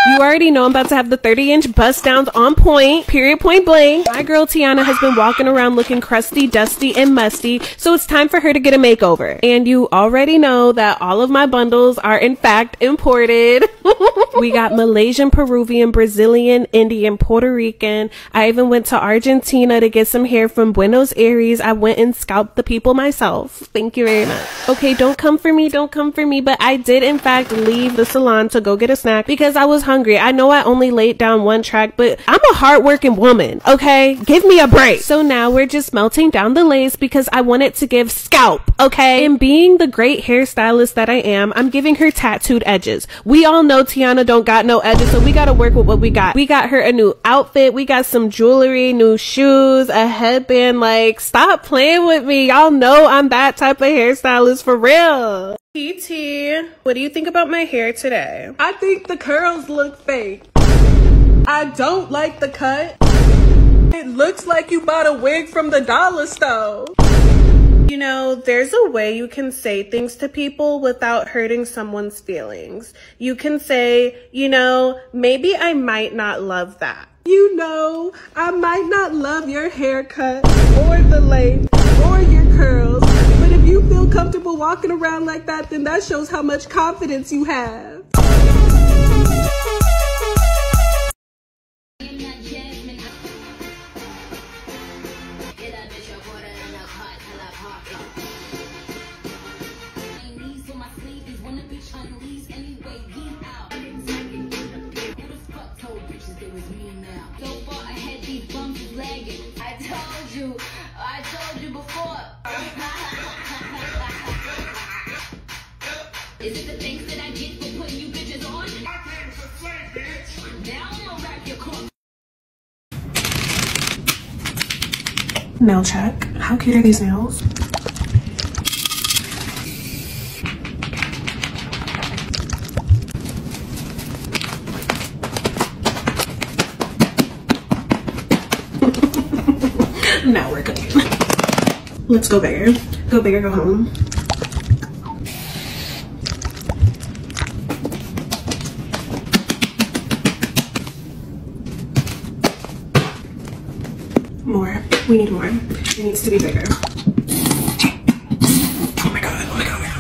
You already know I'm about to have the 30 inch bust downs on point, period point blank. My girl Tiana has been walking around looking crusty, dusty, and musty, so it's time for her to get a makeover. And you already know that all of my bundles are in fact imported. we got Malaysian, Peruvian, Brazilian, Indian, Puerto Rican, I even went to Argentina to get some hair from Buenos Aires. I went and scalped the people myself. Thank you very much. Okay, don't come for me, don't come for me, but I did in fact leave the salon to go get a snack because I was hungry. I know I only laid down one track, but I'm a hardworking woman, okay? Give me a break. So now we're just melting down the lace because I wanted to give scalp, okay? And being the great hairstylist that I am, I'm giving her tattooed edges. We all know Tiana don't got no edges, so we gotta work with what we got. We got her a new outfit. We got some jewelry, new shoes, a headband. Like, stop playing with me. Y'all know I'm that type of hairstylist for real. TT, what do you think about my hair today? I think the curls look fake. I don't like the cut. It looks like you bought a wig from the dollar store. You know, there's a way you can say things to people without hurting someone's feelings. You can say, you know, maybe I might not love that. You know, I might not love your haircut or the length or your curls, but if you feel comfortable walking around like that, then that shows how much confidence you have. Get a bitch a water in a pot till I pop it. my sleeves when the bitch unleashed anyway. He out. It was fuck told bitches it was me now. So far ahead, these bums lagging. I told you, I told you before. is it the things that I get for putting you bitches on? I came to slay, bitch. Now I'm gonna wrap your Nail check. How cute are these nails? now we're good. Let's go bigger. Go bigger, go home. More. We need more. It needs to be bigger. Oh my god, oh my god, oh my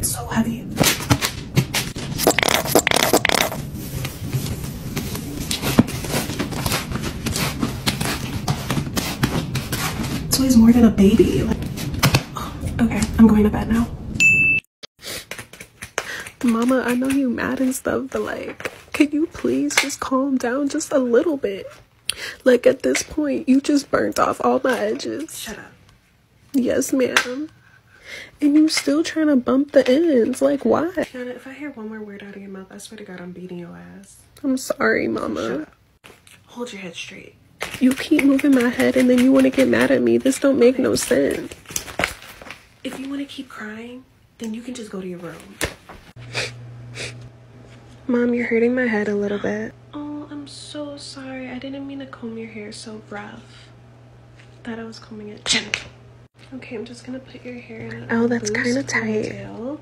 god. So heavy. So he's more than a baby. okay, I'm going to bed now. Mama, I know you are mad and stuff, but like, can you please just calm down just a little bit? Like at this point, you just burnt off all my edges. Shut up. Yes, ma'am. And you are still trying to bump the ends. Like, why? if I hear one more word out of your mouth, I swear to God, I'm beating your ass. I'm sorry, mama. Hold your head straight. You keep moving my head and then you want to get mad at me. This don't make no sense. If you want to keep crying, then you can just go to your room. Mom, you're hurting my head a little bit. Oh, I'm so sorry. I didn't mean to comb your hair so rough. Thought I was combing it gently. Okay, I'm just gonna put your hair in. Oh, that's kind of tight.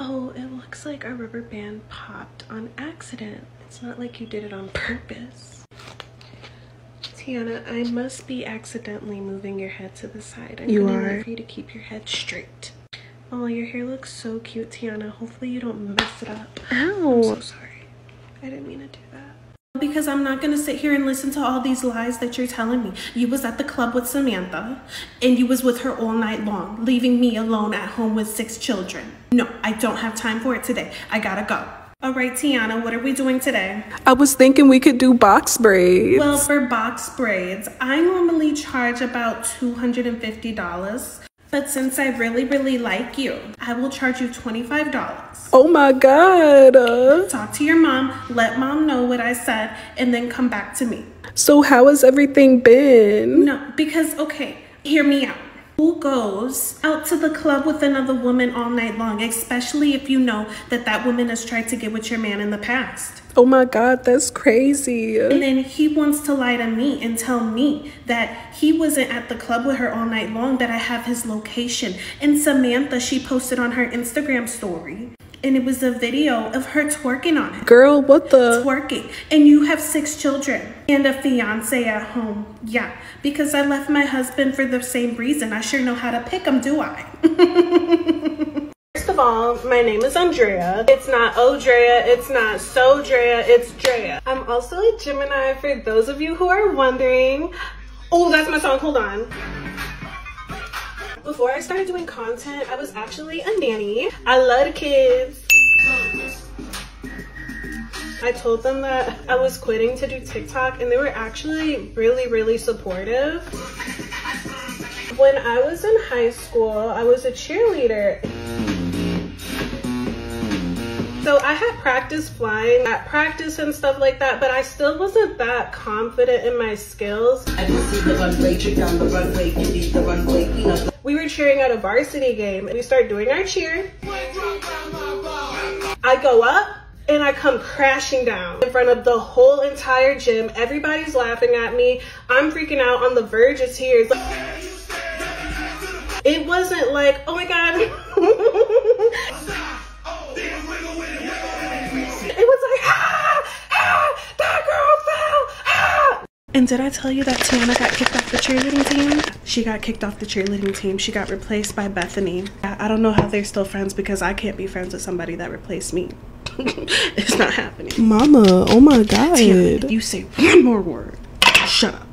Oh, it looks like a rubber band popped on accident. It's not like you did it on purpose. Tiana, I must be accidentally moving your head to the side. I'm you gonna are. Need for you to keep your head straight. Oh, your hair looks so cute, Tiana. Hopefully you don't mess it up. Oh, I'm so sorry. I didn't mean to do that because I'm not going to sit here and listen to all these lies that you're telling me. You was at the club with Samantha and you was with her all night long, leaving me alone at home with six children. No, I don't have time for it today. I gotta go. All right, Tiana, what are we doing today? I was thinking we could do box braids. Well, for box braids, I normally charge about $250. But since I really, really like you, I will charge you $25. Oh my God. Uh. Talk to your mom, let mom know what I said, and then come back to me. So, how has everything been? No, because, okay, hear me out. Who goes out to the club with another woman all night long, especially if you know that that woman has tried to get with your man in the past? Oh my God, that's crazy. And then he wants to lie to me and tell me that he wasn't at the club with her all night long, that I have his location and Samantha, she posted on her Instagram story and it was a video of her twerking on it. Girl, what the? Twerking. And you have six children and a fiance at home. Yeah, because I left my husband for the same reason. I sure know how to pick them, do I? First of all, my name is Andrea. It's not Odrea, it's not So Drea. it's Drea. I'm also a Gemini for those of you who are wondering. Oh, that's my song, hold on. Before I started doing content, I was actually a nanny. I loved kids. I told them that I was quitting to do TikTok and they were actually really, really supportive. When I was in high school, I was a cheerleader. So I had practice flying at practice and stuff like that, but I I still wasn't that confident in my skills. I can see the runway, check down the runway, you We were cheering at a varsity game and we start doing our cheer. I go up and I come crashing down in front of the whole entire gym. Everybody's laughing at me. I'm freaking out on the verge of tears. It wasn't like, oh my God. It was like, ah, ah, that girl fell, ah. And did I tell you that Tiana got kicked off the cheerleading team? She got kicked off the cheerleading team. She got replaced by Bethany. I don't know how they're still friends because I can't be friends with somebody that replaced me. it's not happening. Mama, oh my God. you say one more word, shut up.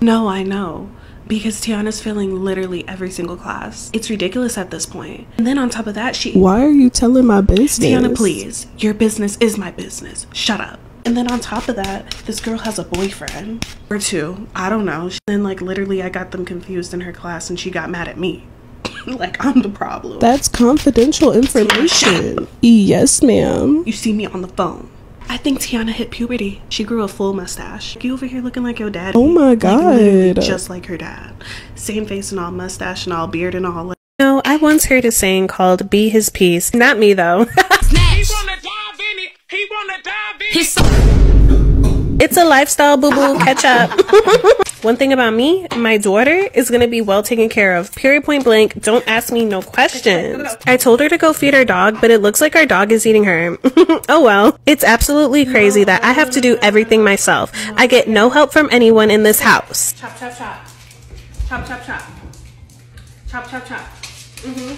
No, I know because Tiana's failing literally every single class. It's ridiculous at this point. And then on top of that, she Why are you telling my business? Tiana, please. Your business is my business. Shut up. And then on top of that, this girl has a boyfriend or two. I don't know. Then like literally I got them confused in her class and she got mad at me. like I'm the problem. That's confidential information. Yes, ma'am. You see me on the phone. I think Tiana hit puberty. She grew full mustache. You over here looking like your dad. Oh my god. just like her dad. Same face and all, mustache and all, beard and all. No, I once heard a saying called be his piece. Not me though. he it's a lifestyle boo boo catch up. One thing about me, my daughter is gonna be well taken care of. Period point blank. Don't ask me no questions. I told her to go feed our dog, but it looks like our dog is eating her. oh well. It's absolutely crazy that I have to do everything myself. I get no help from anyone in this house. Chop, chop, chop. Chop, chop, chop. Chop, chop, chop. hmm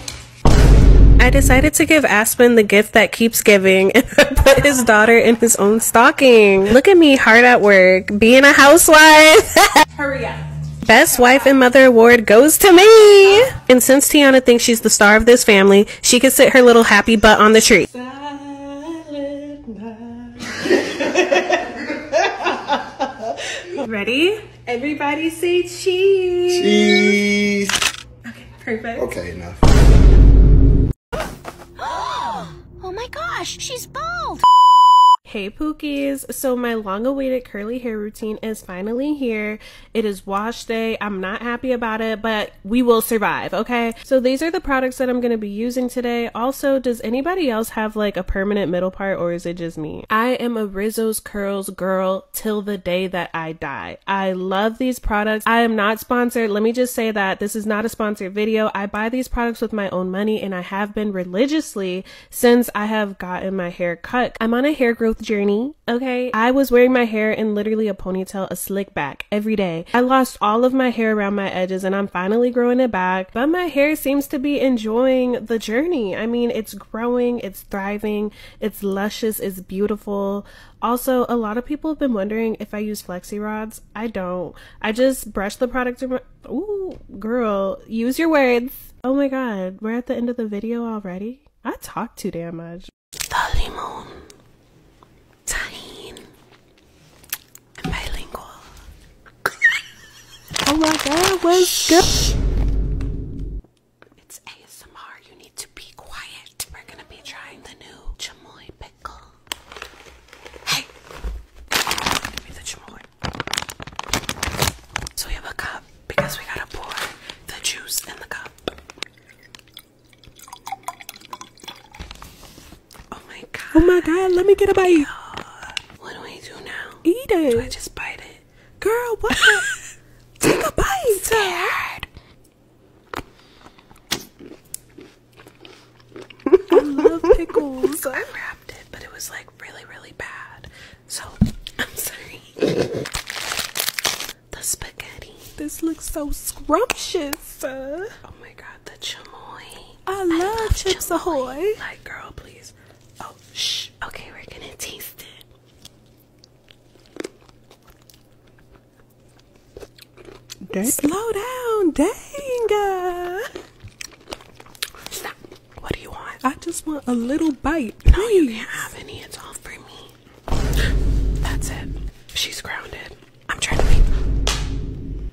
I decided to give Aspen the gift that keeps giving and put his daughter in his own stocking. Look at me hard at work, being a housewife. Hurry up. Best Wife and Mother Award goes to me! And since Tiana thinks she's the star of this family, she can sit her little happy butt on the tree. Ready? Everybody say cheese. Cheese. Okay, perfect. Okay, enough. oh my gosh, she's bald. Hey Pookies! So my long-awaited curly hair routine is finally here. It is wash day. I'm not happy about it, but we will survive, okay? So these are the products that I'm going to be using today. Also, does anybody else have like a permanent middle part or is it just me? I am a Rizzo's Curls girl till the day that I die. I love these products. I am not sponsored. Let me just say that this is not a sponsored video. I buy these products with my own money and I have been religiously since I have gotten my hair cut. I'm on a hair growth journey, okay? I was wearing my hair in literally a ponytail, slick back every day. I lost all of my hair around my edges and I'm finally growing it back, but my hair seems to be enjoying the journey. I mean, it's growing, it's thriving, it's luscious, it's beautiful. Also, a lot of people have been wondering if I use flexi rods. I don't. I just brush the product. Ooh, girl, use your words. Oh my god, we're at the end of the video already? I talked too damn much. Limon, Tahine, and bilingual. oh my god, good? It's ASMR, you need to be quiet. We're gonna be trying the new chamoy pickle. Hey! Give me the chamoy. So we have a cup because we gotta pour the juice in the cup. Oh, oh my god. Oh my god, let me get a bite. What do I do now? Eat it. Do I just bite it? Girl, what? Take a bite. I love pickles. I wrapped it, but it was like really, really bad. So I'm sorry. the spaghetti. This looks so scrumptious. Oh my god, the chamoy. I love, I love chamoy. Like, girl, please. Oh, shh. Okay, we're gonna taste it. Dang. Slow down, dang. Stop. What do you want? I just want a little bite. No, you can't have any. It's all for me. That's it. She's grounded. I'm trying to be.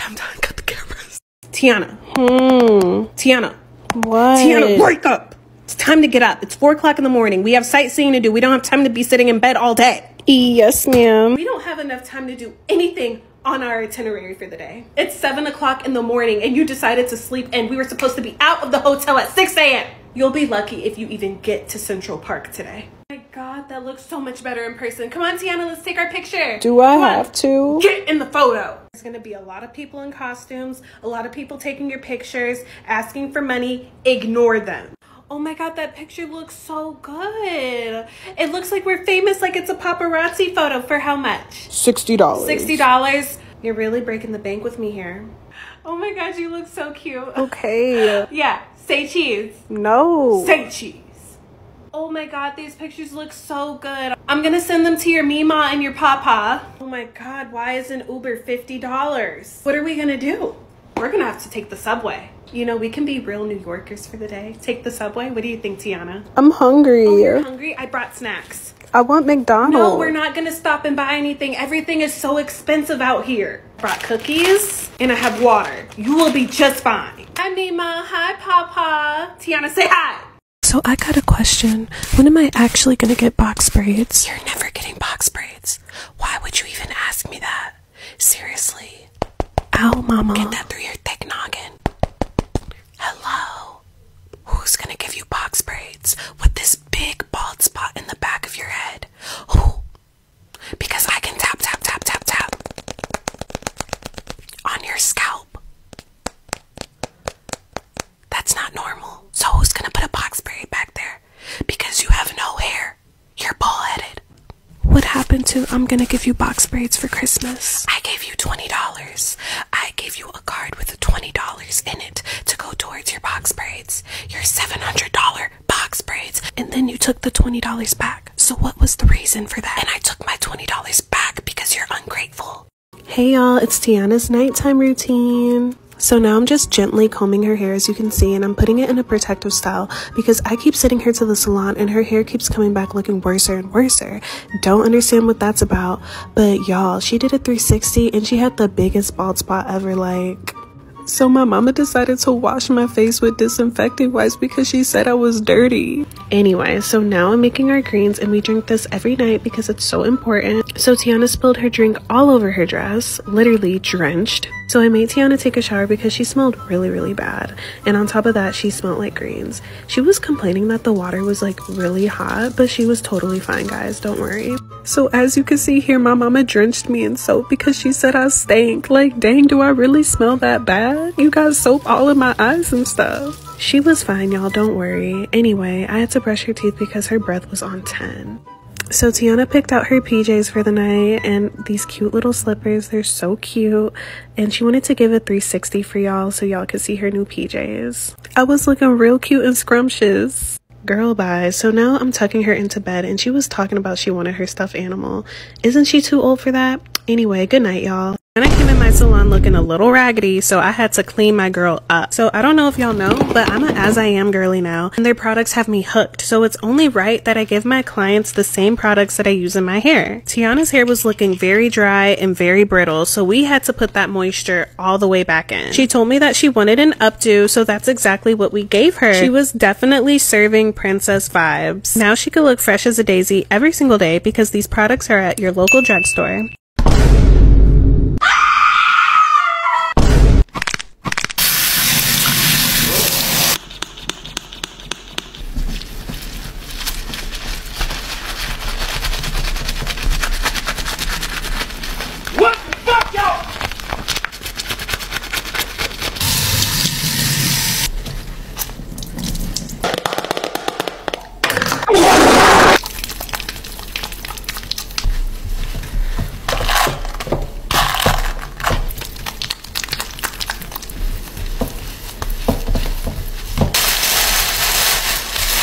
I'm done. Cut the cameras. Tiana. Hmm. Tiana. What? Tiana, wake up. It's time to get up. It's four o'clock in the morning. We have sightseeing to do. We don't have time to be sitting in bed all day. Yes, ma'am. We don't have enough time to do anything on our itinerary for the day. It's seven o'clock in the morning and you decided to sleep and we were supposed to be out of the hotel at 6 a.m. You'll be lucky if you even get to Central Park today god, that looks so much better in person. Come on, Tiana, let's take our picture. Do I have to? Get in the photo. There's gonna be a lot of people in costumes, a lot of people taking your pictures, asking for money. Ignore them. Oh my god, that picture looks so good. It looks like we're famous, like it's a paparazzi photo. For how much? $60. $60. You're really breaking the bank with me here. Oh my god, you look so cute. Okay. yeah, Say cheese. No. Say cheese. Oh my god, these pictures look so good. I'm gonna send them to your mima and your papa. Oh my god, why is an Uber $50? What are we gonna do? We're gonna have to take the subway. You know, we can be real New Yorkers for the day. Take the subway. What do you think, Tiana? I'm hungry. Oh, hungry? I brought snacks. I want McDonald's. No, we're not gonna stop and buy anything. Everything is so expensive out here brought cookies, and I have water. You will be just fine. Hi, Nima. Hi, Papa. Tiana, say hi. So I got a question. When am I actually going to get box braids? You're never getting box braids. Why would you even ask me that? Seriously. Ow, mama. Get that through your thick noggin. Hello. Who's going to give you box braids with this big bald spot in the back of your head? Who because I can tap, tap, tap, tap, tap on your scalp. That's not normal. So, who's gonna put a box braid back there? Because you have no hair. You're bald headed. What happened to I'm gonna give you box braids for Christmas? I gave you $20. I gave you a card with $20 in it to go towards your box braids. You're seven $700 box braids, and then you took the $20 back. So, what was the reason for that? And I took my $20 back because you're ungrateful. Hey y'all, it's Tiana's nighttime routine. So now I'm just gently combing her hair as you can see and I'm putting it in a protective style because I keep sending her to the salon and her hair keeps coming back looking worser and worser. Don't understand what that's about, but y'all, she did a 360 and she had the biggest bald spot ever like so my mama decided to wash my face with disinfectant wipes because she said I was dirty. Anyway, so now I'm making our greens and we drink this every night because it's so important. So Tiana spilled her drink all over her dress, literally drenched. So I made Tiana take a shower because she smelled really, really bad. And on top of that, she smelled like greens. She was complaining that the water was like really hot, but she was totally fine, guys. Don't worry. So as you can see here, my mama drenched me in soap because she said I stank. Like, dang, do I really smell that bad? You got soap all in my eyes and stuff. She was fine, y'all, don't worry. Anyway, I had to brush her teeth because her breath was on 10. So Tiana picked out her PJs for the night and these cute little slippers. They're so cute. And she wanted to give a 360 for y'all so y'all could see her new PJs. I was looking real cute and scrumptious. Girl, bye. So now I'm tucking her into bed and she was talking about she wanted her stuffed animal. Isn't she too old for that? Anyway, good night, y'all. And I came in my salon looking a little raggedy, so I had to clean my girl up. So I don't know if y'all know, but I'm a as I am girly now, and their products have me hooked. So it's only right that I give my clients the same products that I use in my hair. Tiana's hair was looking very dry and very brittle, so we had to put that moisture all the way back in. She told me that she wanted an updo, so that's exactly what we gave her. She was definitely serving princess vibes. Now she can look fresh as a daisy every single day because these products are at your local drugstore. What the fuck, y'all?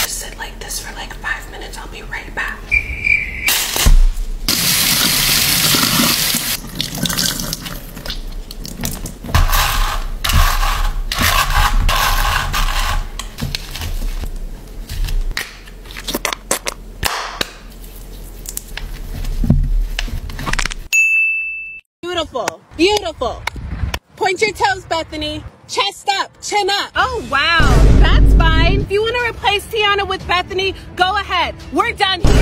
Sit like this for like five minutes. I'll be right back. Beautiful, beautiful. Point your toes, Bethany. Chest up, chin up. Oh, wow, that's fine. If you want to replace Tiana with Bethany, go ahead. We're done here.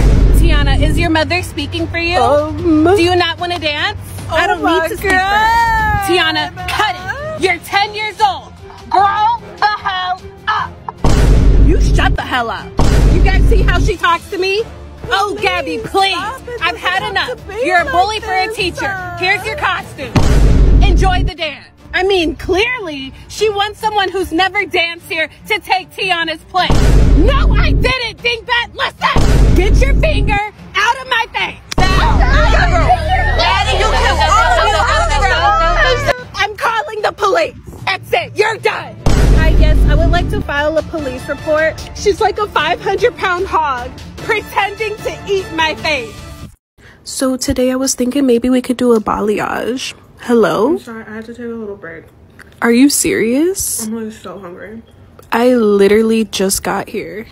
Tiana, is your mother speaking for you? Um, Do you not want to dance? Oh I don't need to speak for her. Tiana, cut it. You're 10 years old. Grow the hell up. You shut the hell up. You guys see how she talks to me? oh, Gabby, please. I've had enough. You're a bully for a teacher. Here's your costume. Enjoy the dance. I mean, clearly, she wants someone who's never danced here to take Tiana's place. No, I didn't, dingbat. Listen, get your finger out of my face. I'm calling the police. Exit. You're done. I guess I would like to file a police report. She's like a 500 pound hog pretending to eat my face. So today I was thinking maybe we could do a balayage. Hello? I'm sorry, I had to take a little break. Are you serious? I'm so hungry. I literally just got here.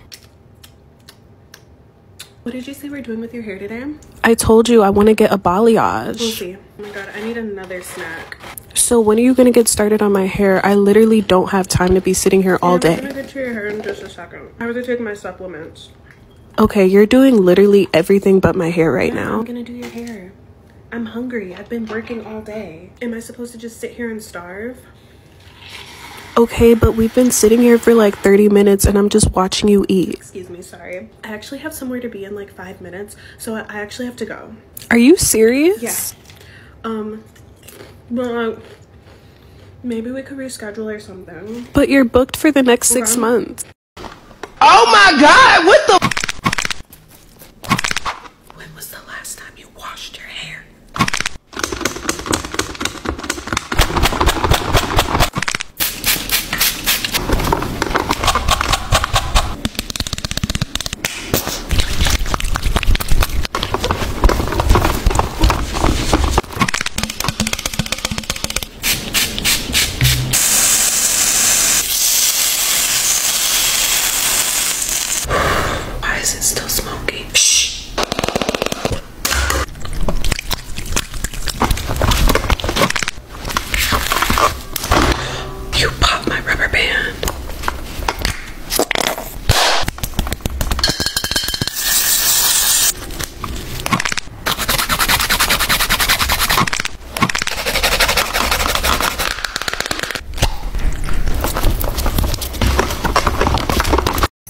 What did you say we're doing with your hair today? I told you I want to get a balayage. We'll see. Oh my god, I need another snack. So when are you gonna get started on my hair? I literally don't have time to be sitting here all day. I'm gonna get to your hair in just a second. I have to take my supplements. Okay, you're doing literally everything but my hair right now. I'm gonna do your hair. I'm hungry. I've been working all day. Am I supposed to just sit here and starve? Okay, but we've been sitting here for like 30 minutes and I'm just watching you eat. Excuse me, sorry. I actually have somewhere to be in like five minutes, so I actually have to go. Are you serious? Yeah. Um, well, uh, maybe we could reschedule or something. But you're booked for the next six months. Oh my God, what the? When was the last time you washed your hair? Why is it still smoking? You popped my rubber band.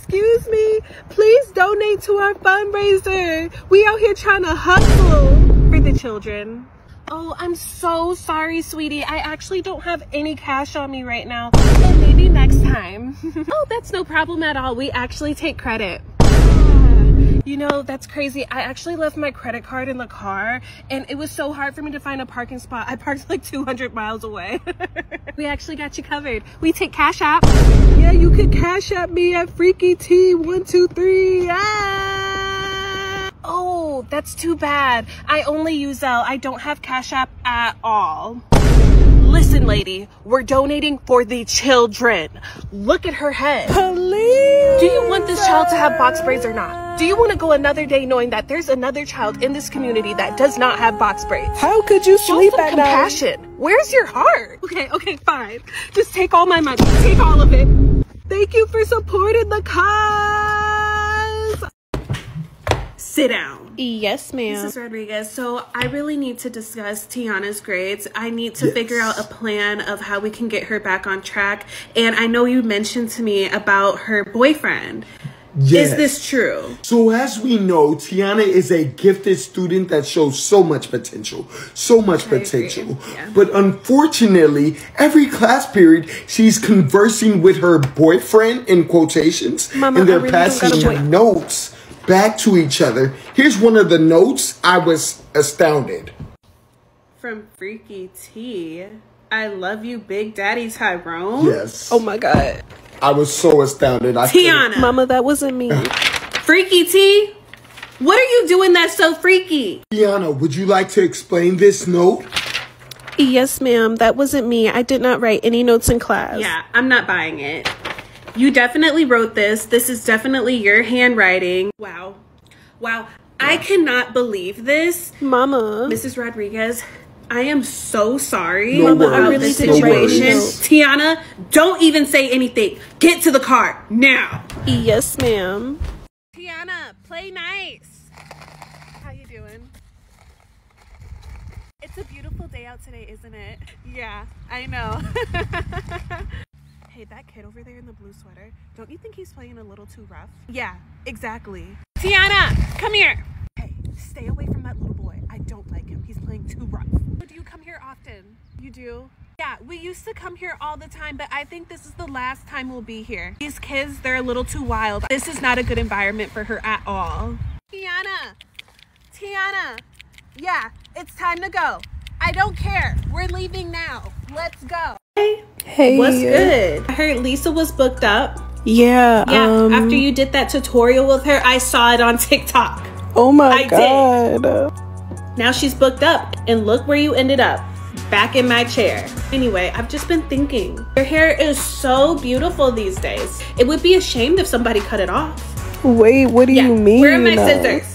Excuse me, please donate to our fundraiser. We out here trying to hustle for the children. Oh, I'm so sorry, sweetie. I actually don't have any cash on me right now. maybe next time. oh, that's no problem at all. We actually take credit. You know, that's crazy. I actually left my credit card in the car and it was so hard for me to find a parking spot. I parked like 200 miles away. we actually got you covered. We take Cash App. Yeah, you could Cash App me at Freaky T123. Ah! Oh, that's too bad. I only use L. don't have Cash App at all. Listen, lady, we're donating for the children. Look at her head. Please. Do you want this child to have box braids or not? Do you want to go another day knowing that there's another child in this community that does not have box breaks? How could you sleep Show some at compassion. Where's your heart? Okay, okay, fine. Just take all my money. Take all of it. Thank you for supporting the cause. Sit down. Yes, ma'am. This Rodriguez. So I really need to discuss Tiana's grades. I need to figure out a plan of how we can get her back on track and I know you mentioned to me about her boyfriend. Is this true? So, as we know, Tiana is a gifted student that shows so much potential. So much potential. But unfortunately, every class period, she's conversing with her boyfriend, in quotations, in their passing notes back to each other. Here's one of the notes I was astounded from Freaky T. I love you, Big Daddy Tyrone. Yes. Oh my God. I was so astounded. I Tiana. Mama, that wasn't me. freaky T, what are you doing that's so freaky? Tiana, would you like to explain this note? Yes, ma'am. That wasn't me. I did not write any notes in class. Yeah, I'm not buying it. You definitely wrote this. This is definitely your handwriting. Wow. Wow. I cannot believe this. Mama. Mrs. Rodriguez, I am so sorry no about worries. situation. Tiana, don't even say anything. Get to the car now. Yes, ma'am. Tiana, play nice. How you doing? It's a beautiful day out today, isn't it? Yeah, I know. hey, that kid over there in the blue sweater, don't you think he's playing a little too rough? Yeah, exactly. Tiana, come here. Hey, stay away from that little boy. I don't like him. He's playing too rough. Do you come here often? You do? Yeah, we used to come here all the time, but I think this is the last time we'll be here. These kids, they're a little too wild. This is not a good environment for her at all. Tiana, Tiana, yeah, it's time to go. I don't care. We're leaving now. Let's go. Hey. Hey. What's good? I heard Lisa was booked up. Yeah. Yeah. Um, after you did that tutorial with her, I saw it on TikTok. Oh my I god. Did. Now she's booked up, and look where you ended up. Back in my chair. Anyway, I've just been thinking. Your hair is so beautiful these days. It would be ashamed if somebody cut it off. Wait, what do you mean? Where are my scissors?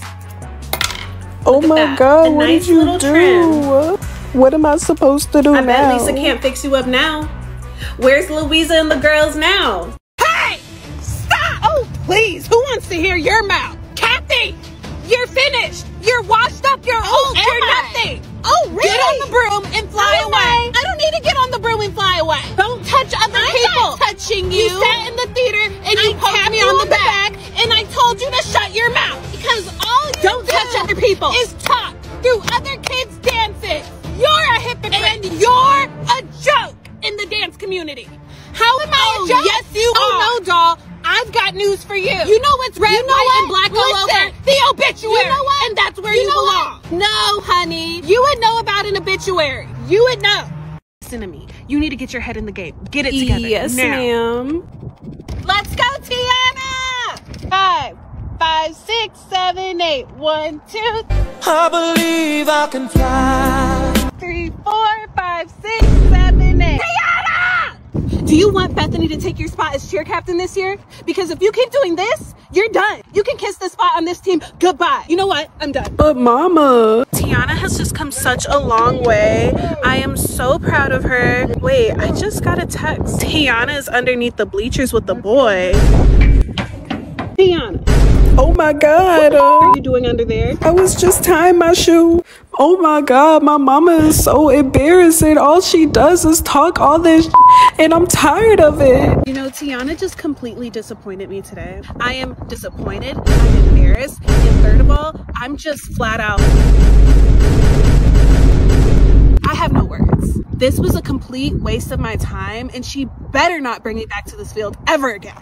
oh my god, what did you do? What am I supposed to do I now? I bet Lisa can't fix you up now. Where's Louisa and the girls now? Hey! Stop! Oh, please, who wants to hear your mouth? Kathy! You're finished! You're washed up, you're old, you're nothing! Oh, really? Get on the broom and fly away. I don't need to get on the broom and fly away. Don't touch other people. touching you. You sat in the theater and you I me on, the back and I told you to shut your mouth because all you don't touch other people is talk Do other kids' dance it? You're a hypocrite and you're a joke in the dance community. How am I oh, joke? Yes, you oh, no, doll. I've got news for you. You know what's red, white, and black all over? The obituary. You know what? And that's where you, belong. No, honey. You would know about an obituary. You would know. Listen to me. You need to get your head in the game. Get it together. Yes, ma'am. Let's go, Tiana! Five, five, six, seven, eight, one, two. I believe I can fly. Three, four, five, six, seven, eight. Tiana! Do you want Bethany to take your spot as cheer captain this year? Because if you keep doing this, you're done. You can kiss the spot on this team. Goodbye. You know what? I'm done. But mama. Tiana has just come such a long way. I am so proud of her. Wait, I just got a text. Tiana is underneath the bleachers with the boy. Tiana. Oh my God. Uh, what are you doing under there? I was just tying my shoe. Oh my God, my mama is so embarrassing. All she does is talk all this and I'm tired of it. You know, Tiana just completely disappointed me today. I am disappointed, I'm embarrassed, and third of all, I'm just flat out. I have no words. This was a complete waste of my time and she better not bring me back to this field ever again.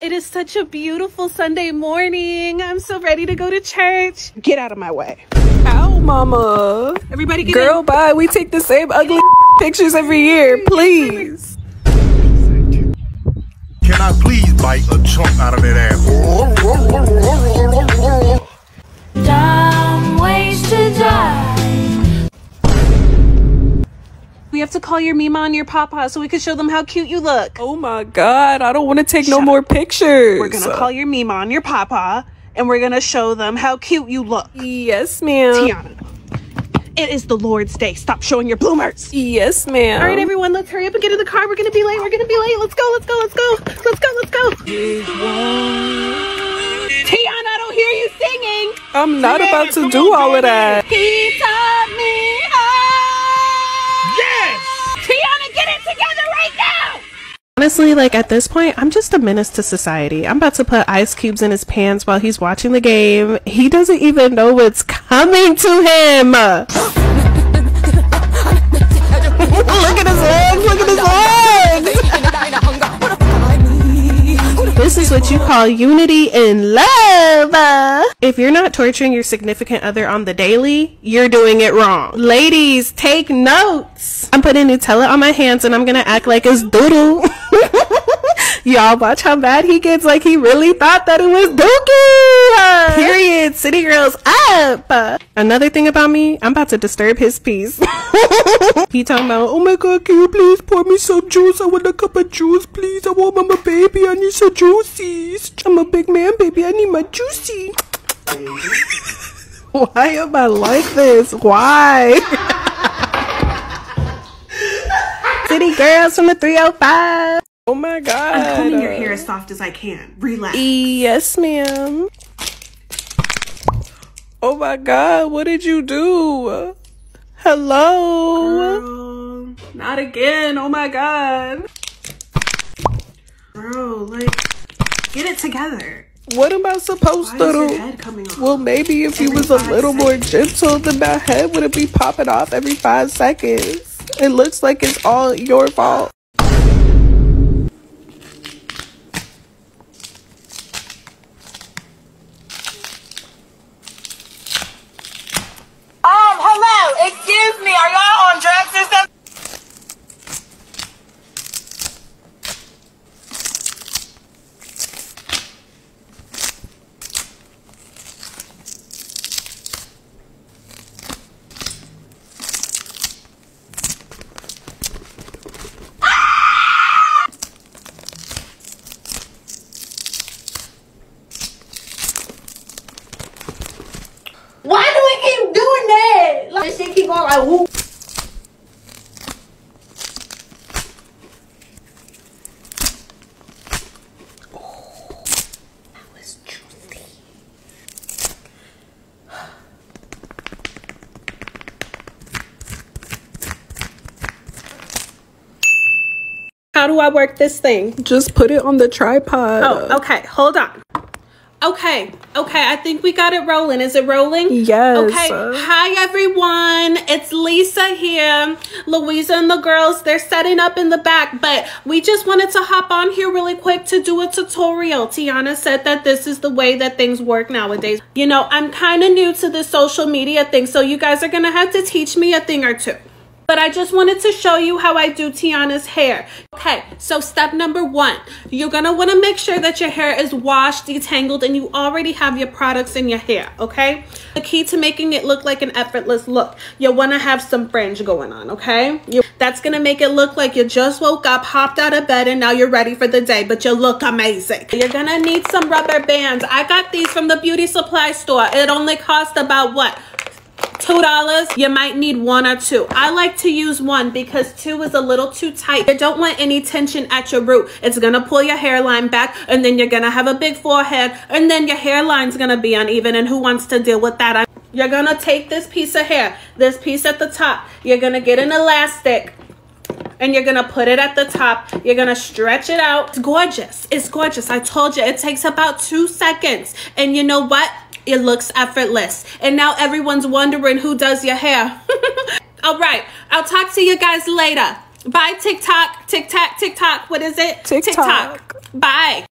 It is such a beautiful Sunday morning. I'm so ready to go to church. Get out of my way. Ow, mama. Everybody get Girl, bye. We take the same ugly pictures every year. Please. Can I please bite a chunk out of that ass? Dumb ways to die. We have to call your Mima and your Papa so we can show them how cute you look. Oh my god, I don't want to take no more pictures. We're gonna call your Mima and your Papa and we're gonna show them how cute you look book. Yes, ma'am. Tiana. It is the Lord's day. Stop showing your bloomers. Yes, ma'am. All right, everyone, let's hurry up and get in the car. We're going to be late. We're going to be late. Let's go. Let's go. Let's go. Let's go. Let's go. Tiana, I don't hear you singing. I'm not Tiana, about to do on, all of that. He taught me how. Yes! Tiana, get it together right now! Honestly, like at this point, I'm just a menace to society. I'm about to put ice cubes in his pants while he's watching the game. He doesn't even know what's coming to him. look at his legs, look at his legs. this is what you call unity in love. If you're not torturing your significant other on the daily, you're doing it wrong. Ladies, take note. I'm putting Nutella on my hands and I'm gonna act like it's doodle. Y'all watch how bad he gets. Like he really thought that it was dookie. Period. City girls up. Another thing about me, I'm about to disturb his peace. he talking about, oh my god, can you please pour me some juice? I want a cup of juice, please. I want my baby. I need some juices. I'm a big man, baby. I need my juicy. Why am I like this? Why? City girls from the 305. Oh my god. I'm combing your hair as soft as I can. Relax. Yes, ma'am. Oh my god, what did you do? Hello. not again. Oh my god. Bro, like, get it together. What am I supposed to do? Well, maybe if every you was a little more gentle, then my head wouldn't be popping off every five seconds. It looks like it's all your fault. Um, why do we keep doing that? Like, shit keep on like, whoop. How do I work this thing? Just put it on the tripod. Oh, okay. Hold on. Okay, okay, I think we got it rolling. Is it rolling? Yes. Okay, hi everyone. It's Lisa here. Louisa and the girls, they're setting up in the back, but we just wanted to hop on here really quick to do a tutorial. Tiana said that this is the way that things work nowadays. You know, I'm kind of new to the social media thing, so you guys are going to have to teach me a thing or two but I just wanted to show you how I do Tiana's hair. Okay, so step number one, you're gonna wanna make sure that your hair is washed, detangled, and you already have your product in your hair, okay? The key to making it look like an effortless look, you wanna have some fringe going on, okay? You that's gonna make it look like you just woke up, hopped out of bed, and now you're ready for the day, but you look amazing. You're gonna need some rubber bands. I got these from the beauty supply store. It only cost about what? $2, you might need one or two. I like to use one because two is a little too tight. You don't want any tension at your root. It's going to pull your hairline back and then you're going to have a big forehead and then your hairline's going to be uneven and who wants to deal with that? You're going to take this piece of hair, this piece at the top. You're going to get an elastic and you're gonna put it at the top you're gonna stretch it out it's gorgeous it's gorgeous i told you it takes about two seconds and you know what it looks effortless and now everyone's wondering who does your hair All right. I'll talk to you guys later. Bye, TikTok. TikTok, TikTok. What is it? TikTok. Bye.